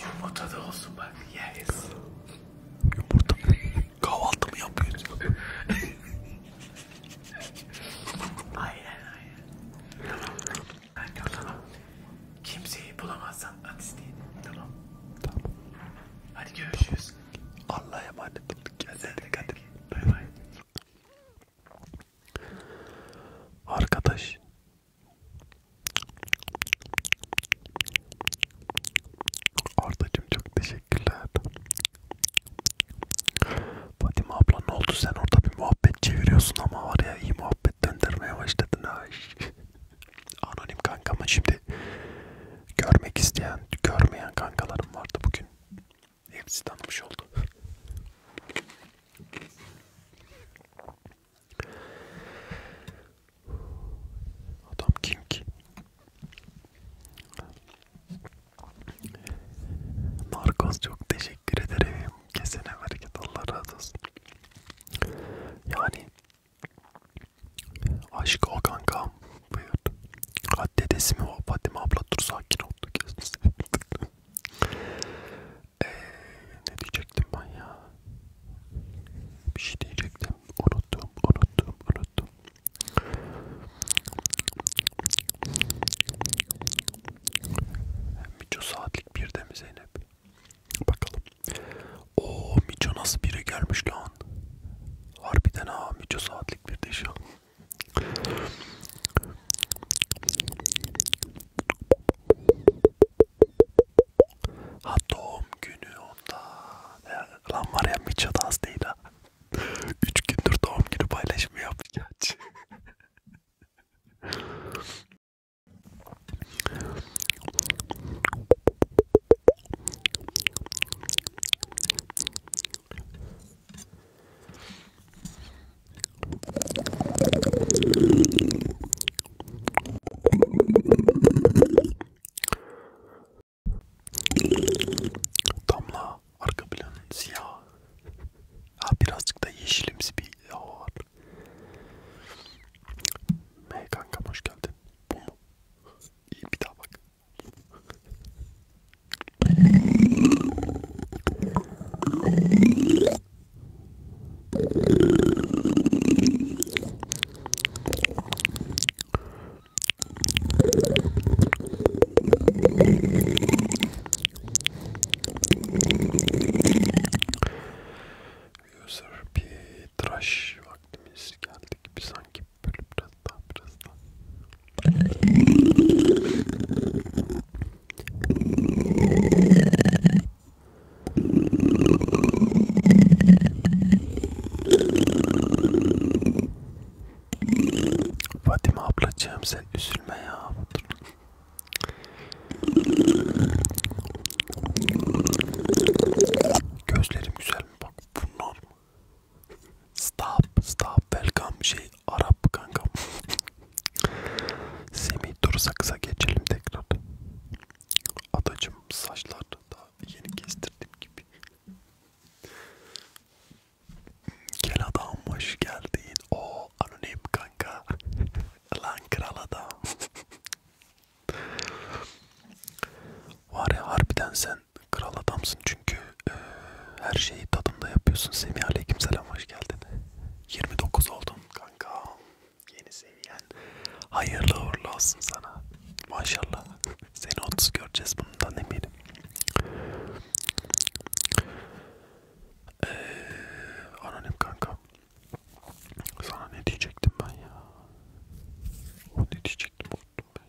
Yumurta da olsun bak yeriz. Yumurta mı? Kahvaltı mı yapıyoruz? aynen aynen. Tamam. Kanka tamam. Kimseyi bulamazsan at isteyin. Tamam. Tamam. Hadi görüşürüz. Allah'a emanet olduk. Kendine dikkat et. Bay bay. Arkadaş Ardacığım çok teşekkürler. Fatima abla ne oldu sen orada bir muhabbet çeviriyorsun ama var ya iyi muhabbet döndürmeye başladın ha. Anonim kankama şimdi görmek isteyen, görmeyen kankalarım vardı bugün. Hepsi tanımış oldu. Adam kim ki? Narkoz çok teşekkür ederim. Kesene bereket Allah razı olsun. Yani aşk o kankam. Buyur. Ha dedesi mi o? Fatime abla dur sakin oldu gözünü ee, ne diyecektim ben ya? Bir şey diyecektim. Unuttum, unuttum, unuttum. Mico saatlik birde mi Zeynep? Bakalım. O Mico nasıl biri gelmiş lan? Harbiden ha Mico saatlik birde şu an. Ha doğum günü onda. Ya, lan var ya Mitchell az değil ha. Üç gündür doğum günü paylaşımı yaptı gerçi. Damla arka planın siyah. Ha birazcık da yeşilimsi bir hava var. Hey kankam hoş geldin. Bu mu? İyi bir daha bak. User bir tıraş vaktimiz geldik. Bir sanki bölüp biraz daha biraz daha. Fatime ablacığım sen üzülme ya. Gözlerim güzel mi? Bak bunlar mı? Stop, stop, welcome şey Arap kankam. Semih dur sakıza geçelim tekrar. Adacım saçlar da yeni kestirdim gibi. Gel adam hoş geldin. O anonim kanka. Lan kral adam. Var ya harbiden sen Kral adamsın çünkü e, her şeyi tadında yapıyorsun. Semih Aleykümselam hoş geldin. 29 oldun kanka. Yeni seviyen. Hayırlı uğurlu olsun sana. Maşallah. Seni 30 göreceğiz bundan eminim. Ee, anonim kanka. Sana ne diyecektim ben ya? O ne diyecektim unuttum be.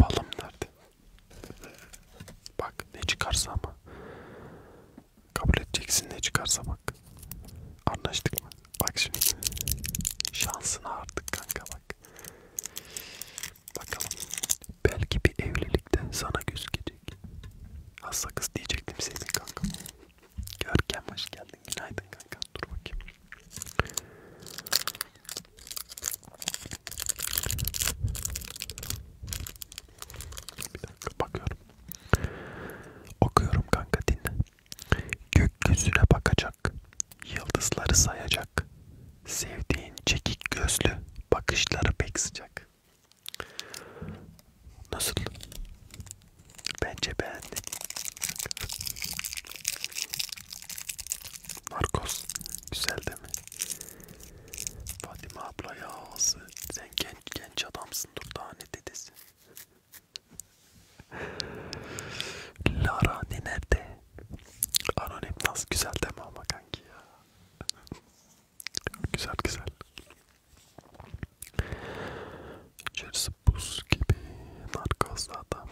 Balım nerede? Bak ne çıkarsa ama. Kabul edeceksin ne çıkarsa bak. Anlaştık mı? Bak şimdi. Şansına artık kanka bak. Bakalım. Belki bir evlilikte sana gözükecek. Hasta kız diyecektim senin kanka. Görkem hoş geldin. Günaydın kanka. Dur bakayım. Bir dakika bakıyorum. Okuyorum kanka dinle. Gökyüzüne bakacak, yıldızları sayacak. Sevdiğin çekik gözlü bakışları pek sıcak. Nasıl? Bence beğendim. Marcos güzel değil mi? Fatime abla ya ağzı. Sen genç genç adamsın dur daha ne dedesi. Lara ne nerede? Anonim nasıl güzel değil mi ama kanki ya? güzel güzel. İçerisi buz gibi narkoz zaten.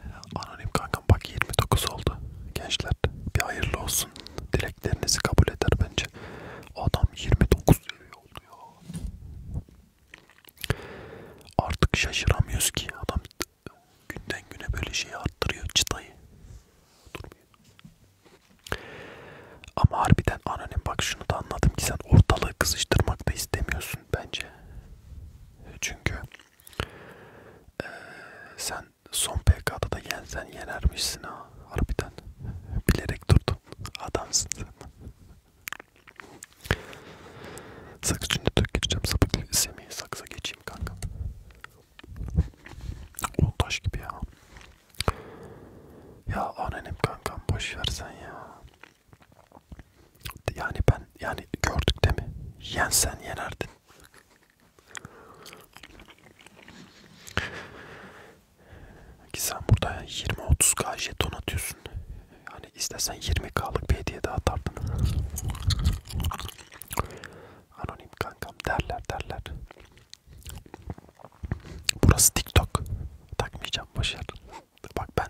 Ee, anonim kankam bak 29 oldu gençler. Bir hayırlı olsun. Dileklerinizi kabul eder bence. Adam 29 seviye oldu ya. Artık şaşıramıyoruz ki adam günden güne böyle şeyi arttırıyor çıtayı. Durmuyor. Ama harbiden anonim bak şunu da anladım ki sen ortalığı kızıştırmak da istemiyorsun bence. Çünkü e, sen son PK'da da yensen yenermişsin ha. Harbiden bilerek durdun. Adamsın sen. Sakız içinde dök gireceğim. Sapık Semih'e sakıza geçeyim kanka. O taş gibi ya. Ya anonim kankam boş versen ya. Yani ben yani gördük değil mi? Yensen yenerdin. Ki sen burada 20-30k jeton atıyorsun. Yani istesen 20k'lık bir hediye daha atardın. Anonim kankam derler derler. Burası TikTok. Takmayacağım başarı. Bak ben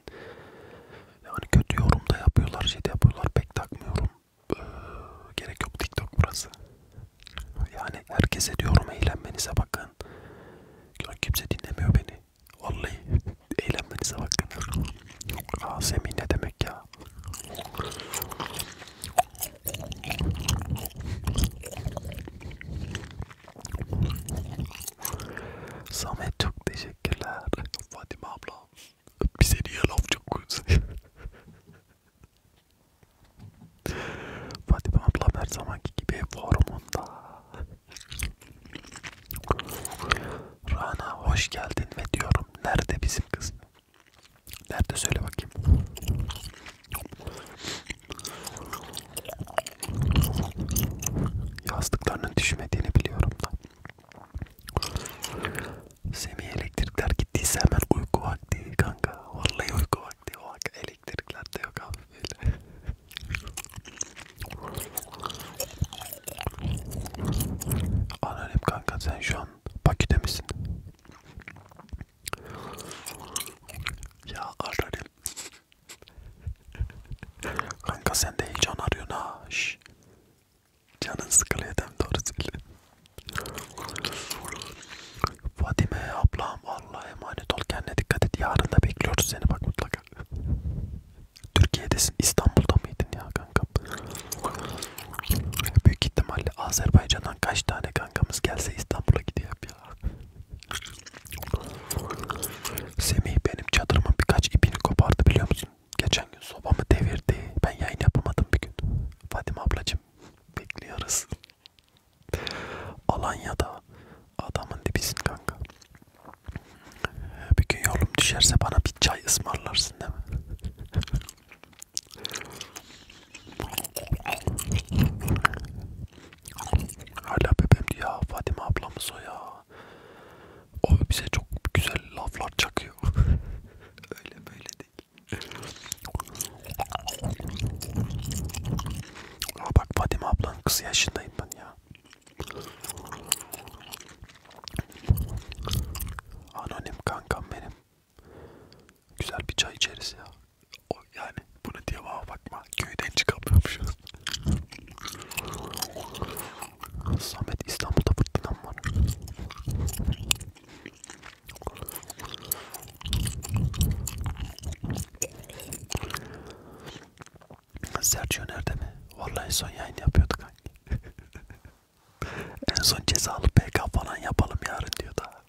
yani kötü yorum da yapıyorlar, şey de yapıyorlar. Pek takmıyorum. Ee, gerek yok TikTok burası. Yani herkese diyorum eğlenmenize bakın. Ya kimse dinlemiyor beni. Vallahi eğlenmenize bakın. Azemi ne demek ya? Samet çok teşekkürler. Fatime abla bize niye laf çok koyuyorsun? Fatime abla her zamanki gibi forumunda. Rana hoş geldin ve diyorum nerede bizim kız? Nerede söyle bakayım. Yastıklarının düşmediğini biliyorum da. Semih elektrikler gittiyse hemen uyku vakti kanka. Vallahi uyku vakti. O elektrikler de yok abi böyle. Anonim kanka sen şu an Bakü'de misin? Ya anonim. Kanka sen de heyecan arıyorsun ha. Şş. Canın sıkılıyor dem doğru söyle. Fatime ablam Allah'a emanet ol kendine dikkat et. Yarın da bekliyoruz seni bak mutlaka. Türkiye'desin İstanbul'da mıydın ya kanka? Büyük ihtimalle Azerbaycan'dan kaç tane kankamız gelse İstanbul'a gidiyor ya. Semih benim çadırımın birkaç ipini kopardı biliyor musun? Geçen gün sobamı devirdi. Ben yayın yapamadım bir gün. Fatime ablacım bekliyoruz. Alanya'da adamın dibisin kanka. Bir gün yolum düşerse bana bir çay ısmarlarsın değil mi? Hala bebeğimdi ya Fatime ablamız o ya. O bize çok güzel laflar çakıyor. Öyle böyle değil. Aa bak Fatime ablanın kızı yaşındayım ben ya. Anonim kankam benim. Güzel bir çay içeriz ya. O yani bunu diye bana bakma. Köyden çıkamıyormuşuz. Samet İstanbul'da fırtınam var. Sergio nerede mi? Vallahi en son yayın yapıyorduk hangi? en son cezalı PK falan yapalım yarın diyor da.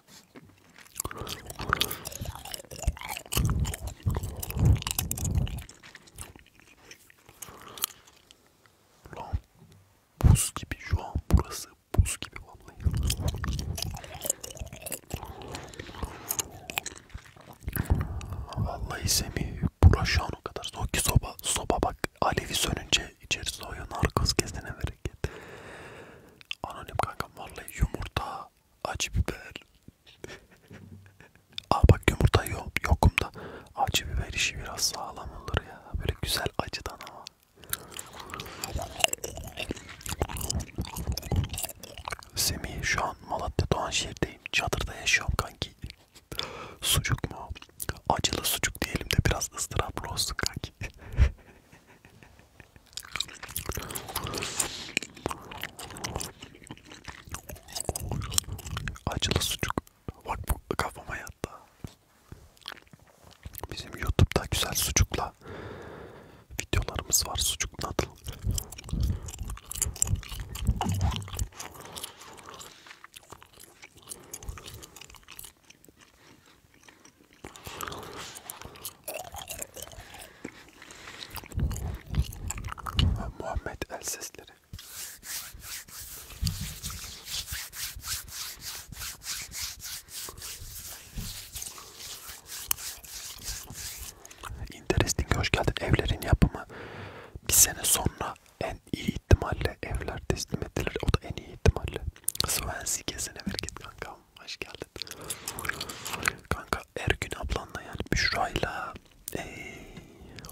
Lan buz gibi şu an burası buz gibi vallahi. Vallahi Semih bura şu an o kadar soğuk ki soba, soba bak alevi sönünce içeri soğuyan arkası kesene bereket. Anonim kankam vallahi yumurta acı biber. Aa bak yumurta yok, yokumda. Acı biber işi biraz sağlam olur ya. Böyle güzel acıdan ama. Semih şu an Malatya Doğanşehir'deyim. Çadırda yaşıyorum kanki. Sucuk mu? Acılı sucuk diyelim de biraz ıstıraplı olsun kanki. Acılı sucuk. Bak bu kafama yattı. Bizim YouTube'da güzel sucukla videolarımız var. Sucuk nadıl. Muhammed el sesleri. Interesting hoş geldin. Evlerin yapımı bir sene sonra en iyi ihtimalle evler teslim edilir. O da en iyi ihtimalle. Swansea gezene ver git kanka. Selam, hoş geldin. Kanka Ergün ablanla yani Büşra'yla ee,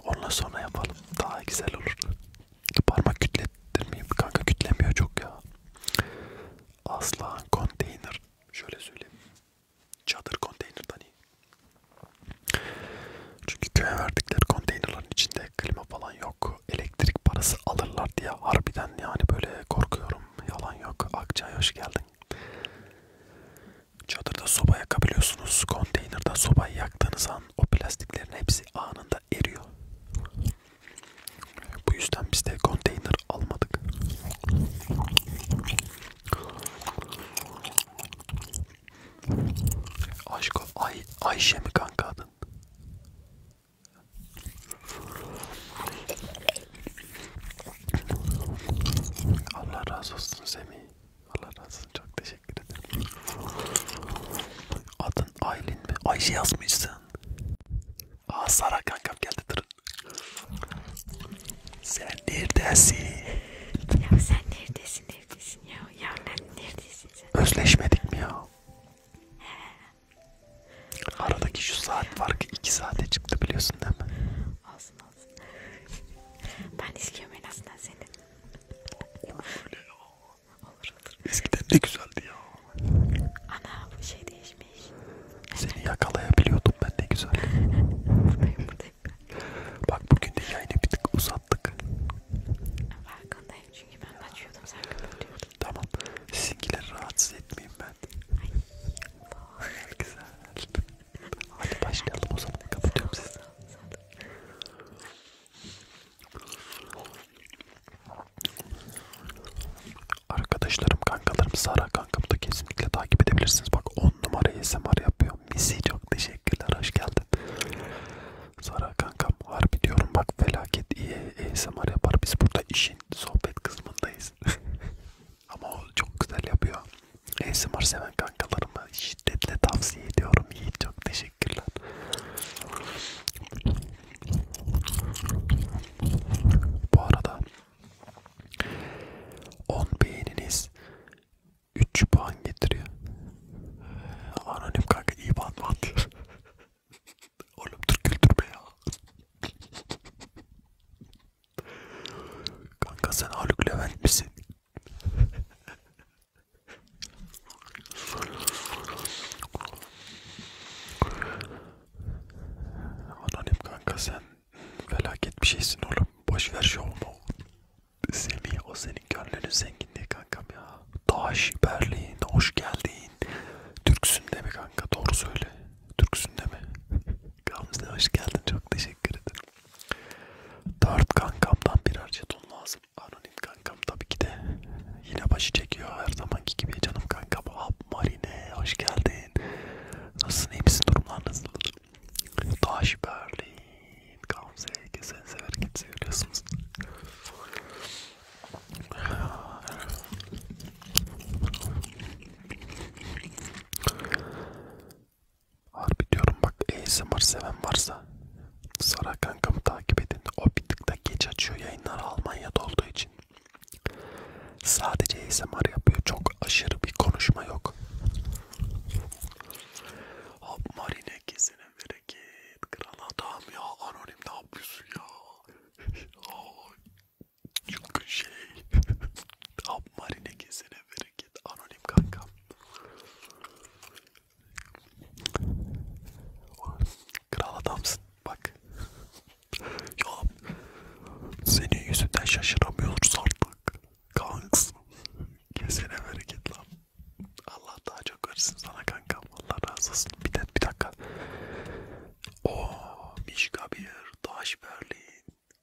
onunla sonra yapalım. Daha güzel olur. Parmak kütlettirmeyeyim. Kanka kütlemiyor çok ya. Aslan konteyner. Şöyle söyleyeyim. Çadır konteynerdan iyi. Çünkü köye verdikleri konteynerların içinde klima falan yok. Elektrik parası alırlar diye harbiden yani böyle korkuyorum. Yalan yok. Akçay hoş geldin Çadırda soba yakabiliyorsunuz. Konteynerda sobayı yaktığınız an o plastiklerin hepsi anında eriyor. Bu yüzden biz de konteyner almadık. Aşko Ay Ayşe mi kanka adın? Allah razı olsun Semih. Allah razı olsun. Çok teşekkür ederim. Adın Aylin mi? Ayşe yazmışsın. Aa Sara kankam geldi durun. Sen neredesin? Ya sen neredesin neredesin ya? Ya ben neredesin sen? Özleşmedik mi ya? He. Aradaki şu saat farkı 2 saate çıktı biliyorsun değil mi? Olsun olsun. Ben istiyorum en azından seni. Öyle ya. Olur olur. Eskiden ne güzeldi ya. Ana bu şey değişmiş. Seni yakalayabiliyordum ben ne güzel. buradayım buradayım. Bak bugün de yayını bir tık uzattık. Farkındayım çünkü ben kaçıyordum sen kapatıyordun. Tamam. Sizinkileri rahatsız etmeyeyim ben. Ay. Güzel. Hadi başlayalım o zaman. Kapatıyorum sizi. Arkadaşlarım, kankalarım, Sara kankamı da kesinlikle takip edebilirsiniz. Bak 10 numara ASMR yapıyor. Misi çok teşekkürler. Hoş geldin. Sara kankam harbi diyorum bak felaket iyi ASMR yapar. Biz burada işin sohbet kısmındayız. Ama o çok güzel yapıyor. ASMR seven kankalarıma şiddetle tavsiye ediyorum. İyi çok teşekkürler. Bu arada 10 beğeniniz 3 puan getiriyor. Anonim kanka iyi puan mı atıyor? Oğlum dur güldürme ya. Kanka sen Haluk Levent misin? Anonim kanka sen felaket bir şeysin oğlum. Boş ver şovumu. Semih o senin gönlünün zenginliği kankam ya. Taş, Berlin, hoş geldin. Türksün de mi kanka? Doğru söyle. Türksün de mi? Gamze hoş geldin çok teşekkür ederim. Dört kankamdan birer jeton lazım. Anonim kankam tabii ki de yine başı çekiyor her zamanki gibi canım kankam. Hap Marine hoş geldin. Nasılsın iyi misin durumlar nasıl? Taş Berlin Gamze sen sever git seviyorsunuz. Harbi diyorum bak ASMR seven varsa Sara kankamı takip edin. O bir tık da geç açıyor yayınları Almanya'da olduğu için. Sadece ASMR yapıyor. Çok aşırı bir konuşma yok. Hop marine kesene bereket. Kral adam ya. Anonim ne yapıyorsun ya? Çünkü şey tam marine kesene bereket anonim kankam. Kral adamsın bak. ya senin yüzünden şaşıramıyoruz artık. Kanks. Kesene bereket lan. Allah daha çok versin sana kankam. Allah razı olsun. Bir, de, bir dakika. Oo, Mişka bir, Daş Berlin.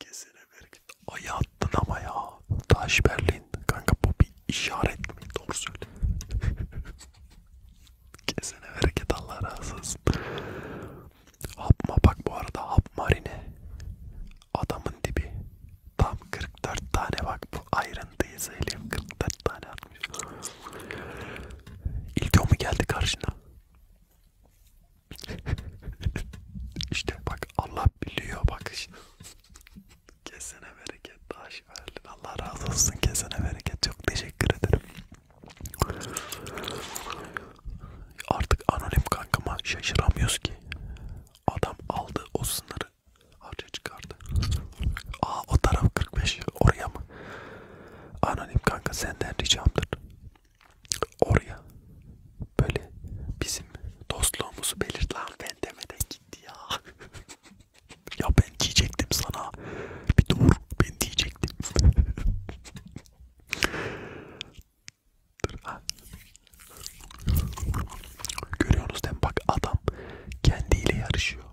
Kesene vergi. Ay attın ama ya. Taş Berlin. Kanka bu bir işaret mi? Doğru söyle. Kesene vergi Allah razı olsun. Hapma bak bu arada hap marine. Adamın dibi. Tam 44 tane bak bu ayrıntıyı söyleyeyim. 44 tane atmış. İlk o mu geldi karşına? işte bak Allah biliyor bak işte. Kesene bereket taş verdin. Allah razı olsun kesene bereket. Çok teşekkür ederim. Artık anonim kankama şaşıramıyoruz ki. Adam aldı o sınırı harca çıkardı. Aa o taraf 45 oraya mı? Anonim kanka senden ricamdır. Oraya böyle bizim dostluğumuzu belirt lan ben demeden gitti ya. ya ben diyecektim sana. Bir dur ben diyecektim. dur ha. Görüyorsunuz değil mi? Bak adam kendiyle yarışıyor.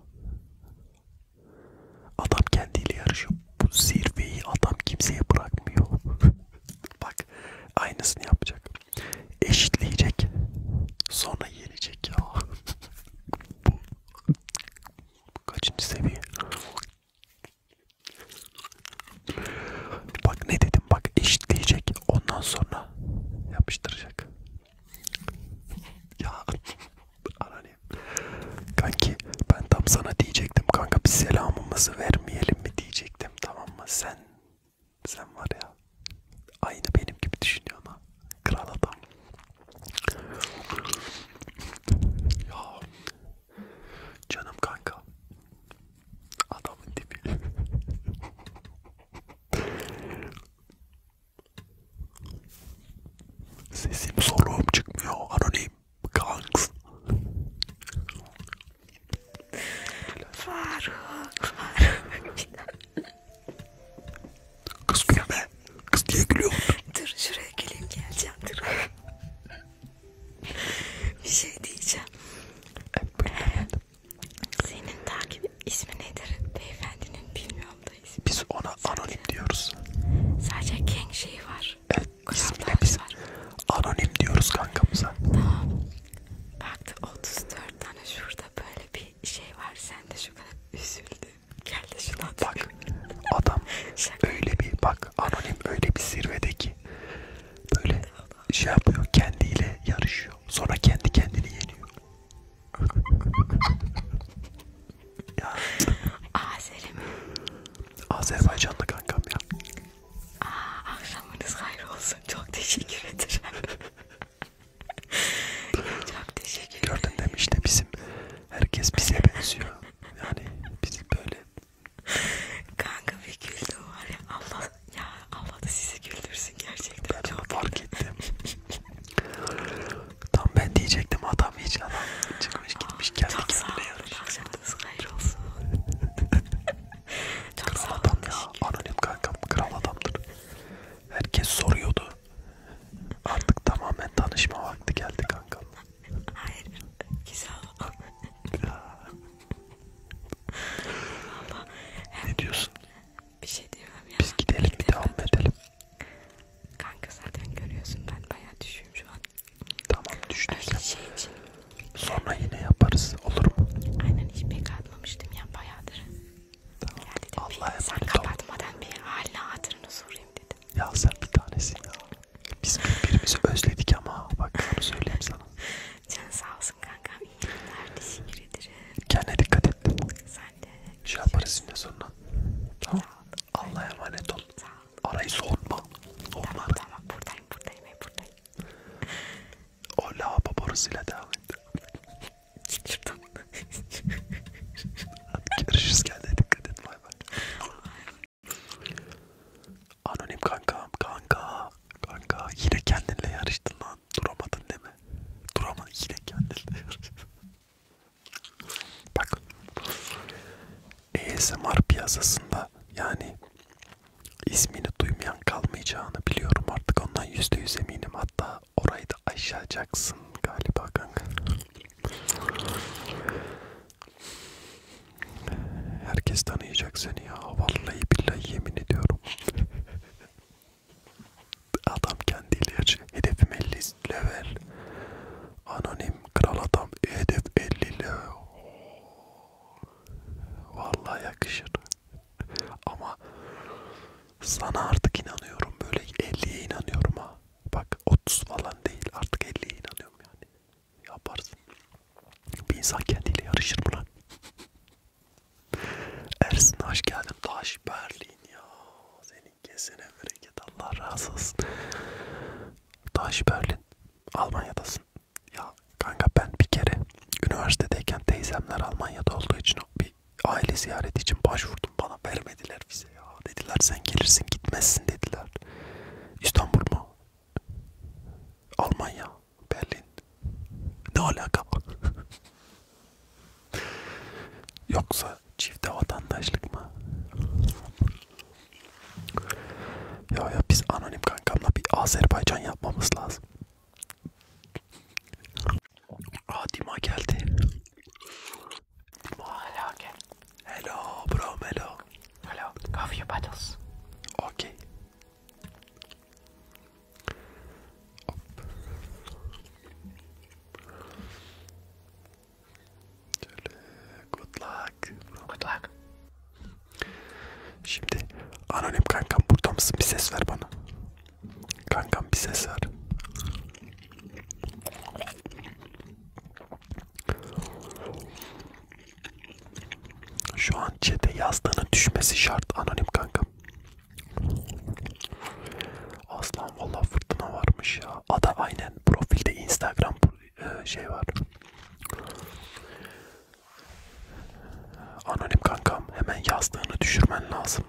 Adam kendiyle yarışıyor. Bu zirveyi adam kimseye bırakmıyor. Bak aynısını yapacak. Eşitleyecek. Sonra yenecek ya. Kaçıncı seviye? Bak ne dedim bak eşitleyecek. Ondan sonra yapıştıracak. Ya anne. Kanki ben tam sana diyeceğim diyecektim kanka bir selamımızı vermeyelim mi diyecektim tamam mı sen sen var ya aynı benim gibi düşünüyorsun ha kral adam ya canım kanka adamın dibi sesim soluğum çıkmıyor anonim Kanks. Faruk, Faruk. Kız gülme. Kız niye gülüyorsun? Dur şuraya geleyim geleceğim dur. Bir şey diyeceğim. Senin takip ismi nedir? Beyefendinin bilmiyorum da ismi. Biz ona anonim diyoruz. Sadece Keng şeyi var. Evet İsmine biz anonim diyoruz kankamıza. Tamam. Baktı 34 tane şurada böyle bir şey var. Sen de şu kadar üzüldün. Gel de şunu Bak adam öyle bir bak anonim öyle bir zirvedeki böyle şey yapıyor kendiyle yarışıyor. Sonra kendi kendini yeniyor. ya. Azeri mi? Azerbaycanlı kankam ya. Aa, akşamınız hayır olsun. Çok teşekkür ederim. Çok teşekkür ederim. Gördün değil mi işte bizim herkes bize benziyor. Yani biz böyle. Kanka bir güldüm var ya Allah ya Allah da sizi güldürsün gerçekten. Ben çok fark ettim. Tam ben diyecektim adam hiç adam çıkmış gitmiş kendi kendine yarışıyor. Haftası hayır olsun. Çok kral adam ya. Anonim kankam kral adamdır. Herkes soruyordu. Artık tamamen tanışma vakti geldi kankam. Hayır. Güzel adam. ne diyorsun? Bir şey diyemem ya. Biz gidelim bir devam edelim. Kanka zaten görüyorsun ben bayağı düşüyorum şu an. Tamam düşüneceğim. Şey için. Sonra yine yaparız. Olur mu? Aynen hiç pek atmamıştım ya bayağıdır. Tamam. Ya dedim, Allah bir, sen kapatmadan ol. bir haline hatırını sorayım dedim. Ya sen bir tanesin ya. Biz birbirimizi özledik ama bak onu söyleyeyim sana. Can sağ olsun kankam. İyi günler. Teşekkür ederim. Kendine dikkat et. Sen de. Şey yaparız yine sonra. Tamam. Allah'a emanet ol. Arayı soğutma. Soğutma. Tamam, tamam. Burada buradayım buradayım hep buradayım. O lavabo borusuyla devam et. Git şuradan. Görüşürüz kendine dikkat et bay bay. Anonim kankam kanka kanka yine kendinle yarıştın lan duramadın değil mi? Duramadın yine kendinle yarıştın. Bak ASMR piyasasında yani ismini duymayan kalmayacağını biliyorum artık ondan yüzde yüz eminim hatta orayı da aşacaksın galiba kanka. Herkes tanıyacak seni ya vallahi billahi yemin ediyorum. Adam kendi ilacı. Hedefim 50 level. Anonim kral adam. E hedef 50 level. Vallahi yakışır. Ama sana artık inanıyorum böyle 50'ye inanıyorum ha. Bak 30 falan değil artık 50'ye inanıyorum yani. Yaparsın. Bir insan kendiyle yarışır mı lan? Ersin hoş geldin. Taş Berlin ya. Senin kesene bereket Allah razı olsun. Taş Berlin. Almanya'dasın. Ya kanka ben bir kere üniversitedeyken teyzemler Almanya'da olduğu için bir aile ziyareti için başvurdum bana vermediler vize ya dediler sen gelirsin gitmezsin dediler. İstanbul mu? Almanya, Berlin. Ne alaka? Yoksa çifte vatandaşlık mı? Ya ya biz anonim kankamla bir Azerbaycan yapmamız lazım. Aa Dima geldi. Dima hello again. Hello bro hello. Hello cover your battles. Okay. Hop. Şöyle good luck luck. Good luck. Şimdi anonim kankam burada mısın? Bir ses ver bana. Kankam bir ses ver. Şu an chat'e yazdığının düşmesi şart anonim kankam. Aslan valla fırtına varmış ya. Ada aynen profilde Instagram e, şey var. Anonim kankam hemen yastığını düşürmen lazım.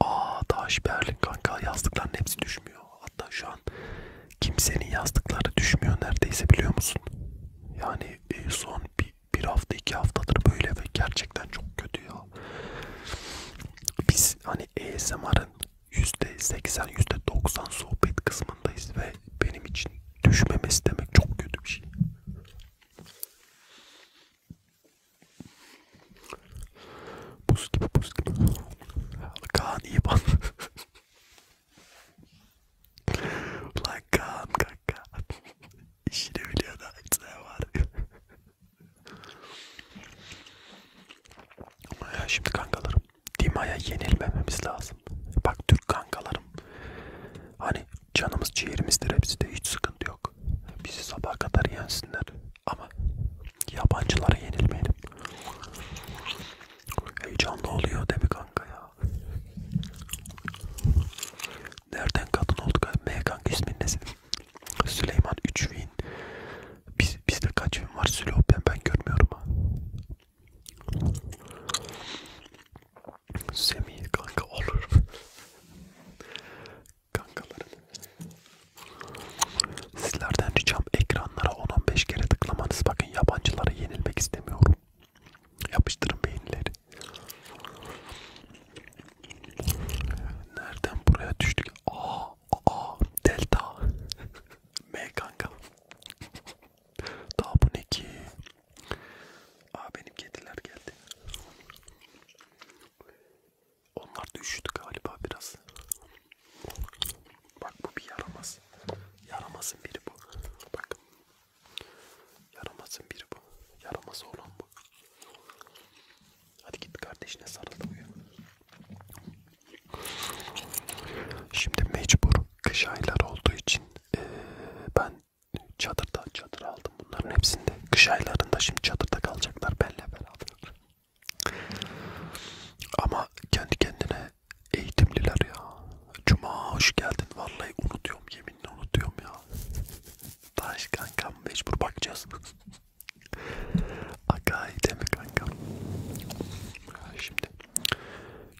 Aa taş berlik kanka yastıkların hepsi düşmüyor. Hatta şu an kimsenin yastıkları düşmüyor neredeyse biliyor musun? Yani e, son bir, bir hafta iki haftadır böyle ve gerçekten çok kötü ya. Biz hani ASMR'ın %80 %90 sohbet kısmındayız ve benim için düşmemesi demek çok kötü bir şey. Buz gibi buz gibi. Kaan İban. Lan Kaan kanka. İşini biliyor da işte var. Ya şimdi kankalarım Dima'ya yenilmememiz lazım. Bak Türk kankalarım. Hani canımız ciğerimizdir hepsi de hiç sıkıntı yok. Bizi sabaha kadar yensinler. Ama yabancılara yenilmeyelim. Heyecanlı oluyor değil mi kanka ya? Nereden kadın olduk? M kanka ismin ne senin? Süleyman 3 win. Biz, bizde kaç win var Sülo? Ben, ben görmüyorum ha. Semih kanka olur. Kankalarım. Sizlerden ricam ekranlara 10-15 kere tıklamanız. Bakın yabancılara yenilmek istemiyorum. Yapıştırın beğenileri. Nereden buraya düştük? Aa, Aa delta. M kanka. Daha bu ne ki? Aa benim kediler geldi. Onlar da üşüdü galiba biraz. Bak bu bir yaramaz. Yaramazın biri bu. Bak. Yaramazın biri bu. Yaramaz olan bu. Hadi git kardeşine sarıldı uyu. Şimdi mecbur kış ayları olduğu için ee, ben çadırda çadır aldım bunların hepsinde. Kış aylarında şimdi çadırda kalacaklar benle beraber. Ama kendi kendine eğitimliler ya. Cuma hoş geldin. Vallahi unutuyorum yeminle unutuyorum ya. Taş kankam mecbur bakacağız. Aga iyi mi kanka? Şimdi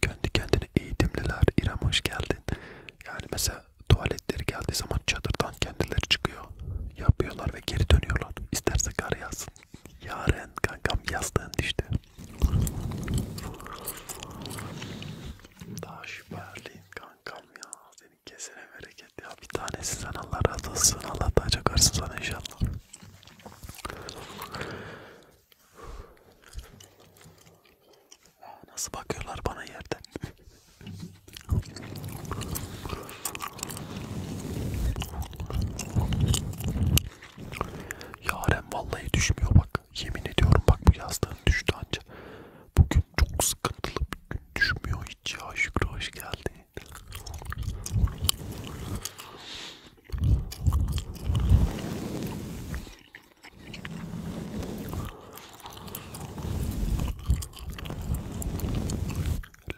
kendi kendine eğitimliler. İrem hoş geldin. Yani mesela tuvaletleri geldiği zaman çadırdan kendileri çıkıyor. Yapıyorlar ve geri dönüyorlar. İsterse kar yazsın. Yaren kankam yastığın düştü. Daha şüpheliyim kankam ya. Senin kesene bereket ya. Bir tanesi sen Allah razı olsun. Allah daha çok versin sana inşallah. Nasıl bakıyorlar bana yerden? Yaren vallahi düşmüyor bak. Yemin ediyorum bak bu yastığın düştü anca. Bugün çok sıkıntılı bir gün düşmüyor hiç ya. Şükrü hoş geldi.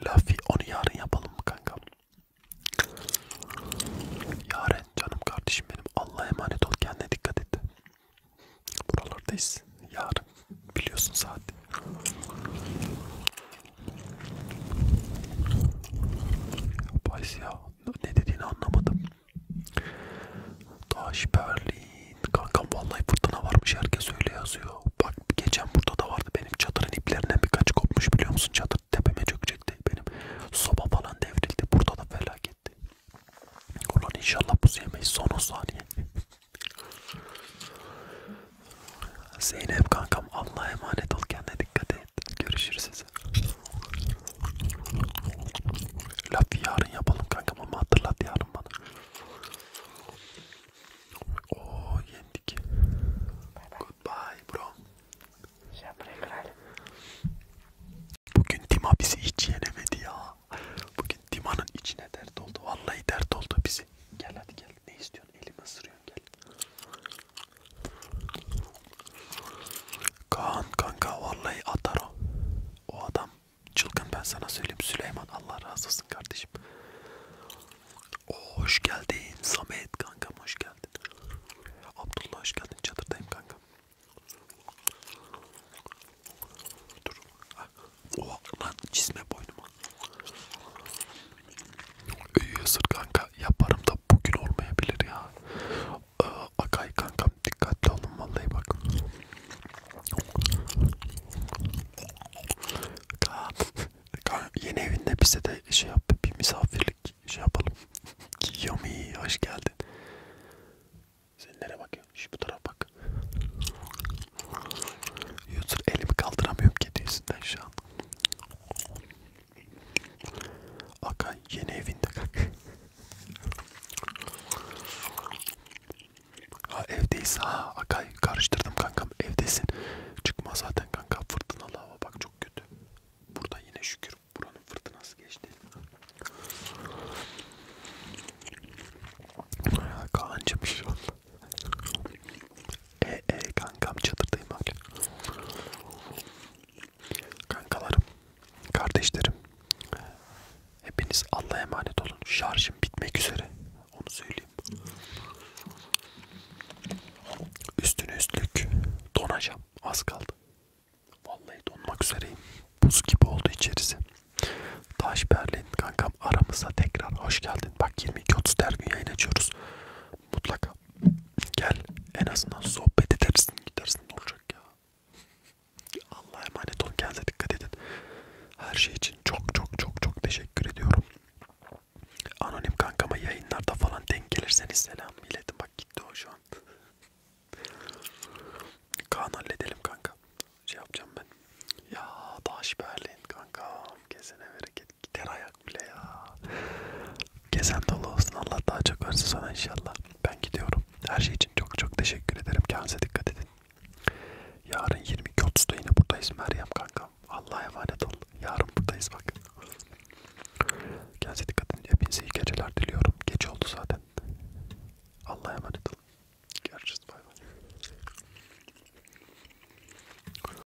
Lafi onu yarın yapalım mı kanka? Yarın canım kardeşim benim Allah'a emanet ol kendine dikkat et. Buralardayız yarın biliyorsun saat. Paris ya. Ne dediğini anlamadım. Taş Berlin. Kankam vallahi fırtına varmış herkes öyle yazıyor. Bak geçen burada da vardı benim çadırın iplerinden birkaç kopmuş biliyor musun? Çadır tepeme çökecekti benim. Soba falan devrildi. Burada da felaketti. Ulan inşallah bu yemeyiz son 10 saniye. Zeynep kankam Allah'a emanet ol kendine dikkat et. Görüşürüz size. Lafı yarın yapalım kankam ama hatırlat yarın bana. Oo yendik. Bye bye. Goodbye bro. Şey Bugün Tima bizi hiç yenemedi ya. Bugün Tima'nın içine dert oldu. Vallahi dert oldu bizi. Gel hadi gel. Ne istiyorsun? elimi ısırıyorsun gel. Kaan kanka vallahi atar o. O adam çılgın ben sana söyleyeyim Süleyman Allah razı olsun kardeşim. Oo, hoş geldin Samet kankam hoş geldin. Abdullah hoş geldin çadırdayım kankam. Dur. Ah. Oh, lan çizme boynuma. Iyiyasır kanka yaparım da bugün olmayabilir ya. Ee, Akay kankam dikkatli olun vallahi bak. Kanka, yeni evinde bize de şey yap bir misafirlik şey yapalım. Yummy hoş geldin. Sen nereye bakıyorsun? Şu bu tarafa bak. Yusur elimi kaldıramıyorum kedisinden şu an. Akay yeni evinde kalk. Ha evdeyiz ha Akay karıştırdım kankam evdesin. Çıkma zaten kanka fırtınalı hava bak çok kötü. Burada yine şükür buranın fırtınası geçti. Kancım inşallah. E e kankam çadırdayım bak. Kankalarım, kardeşlerim. Hepiniz Allah'a emanet olun. Şarjım bitmek üzere. Onu söyleyeyim. Üstüne üstlük donacağım. Az kaldı. Vallahi donmak üzereyim. Buz gibi oldu içerisi. Taş Berlin kankam aramıza tekrar hoş geldin. Bak 22.30 her gün yayın açıyoruz mutlaka gel en azından sohbet edersin gidersin ne olacak ya Allah'a emanet olun kendinize dikkat edin her şey için çok çok çok çok teşekkür ediyorum anonim kankama yayınlarda falan denk gelirseniz selam iletin bak gitti o şu an Kaan halledelim kanka şey yapacağım ben ya Daş Berlin kanka kesene bereket Gider ayak bile ya. Gezen dolu olsun. Allah daha çok versin sana inşallah. Ben gidiyorum. Her şey için çok çok teşekkür ederim. Kendinize dikkat edin. Yarın 22.30'da yine buradayız Meryem kankam. Allah'a emanet ol. Yarın buradayız bak. Kendinize dikkat edin. Hepinize iyi geceler diliyorum. Geç oldu zaten. Allah'a emanet olun. Görüşürüz. Bay bay.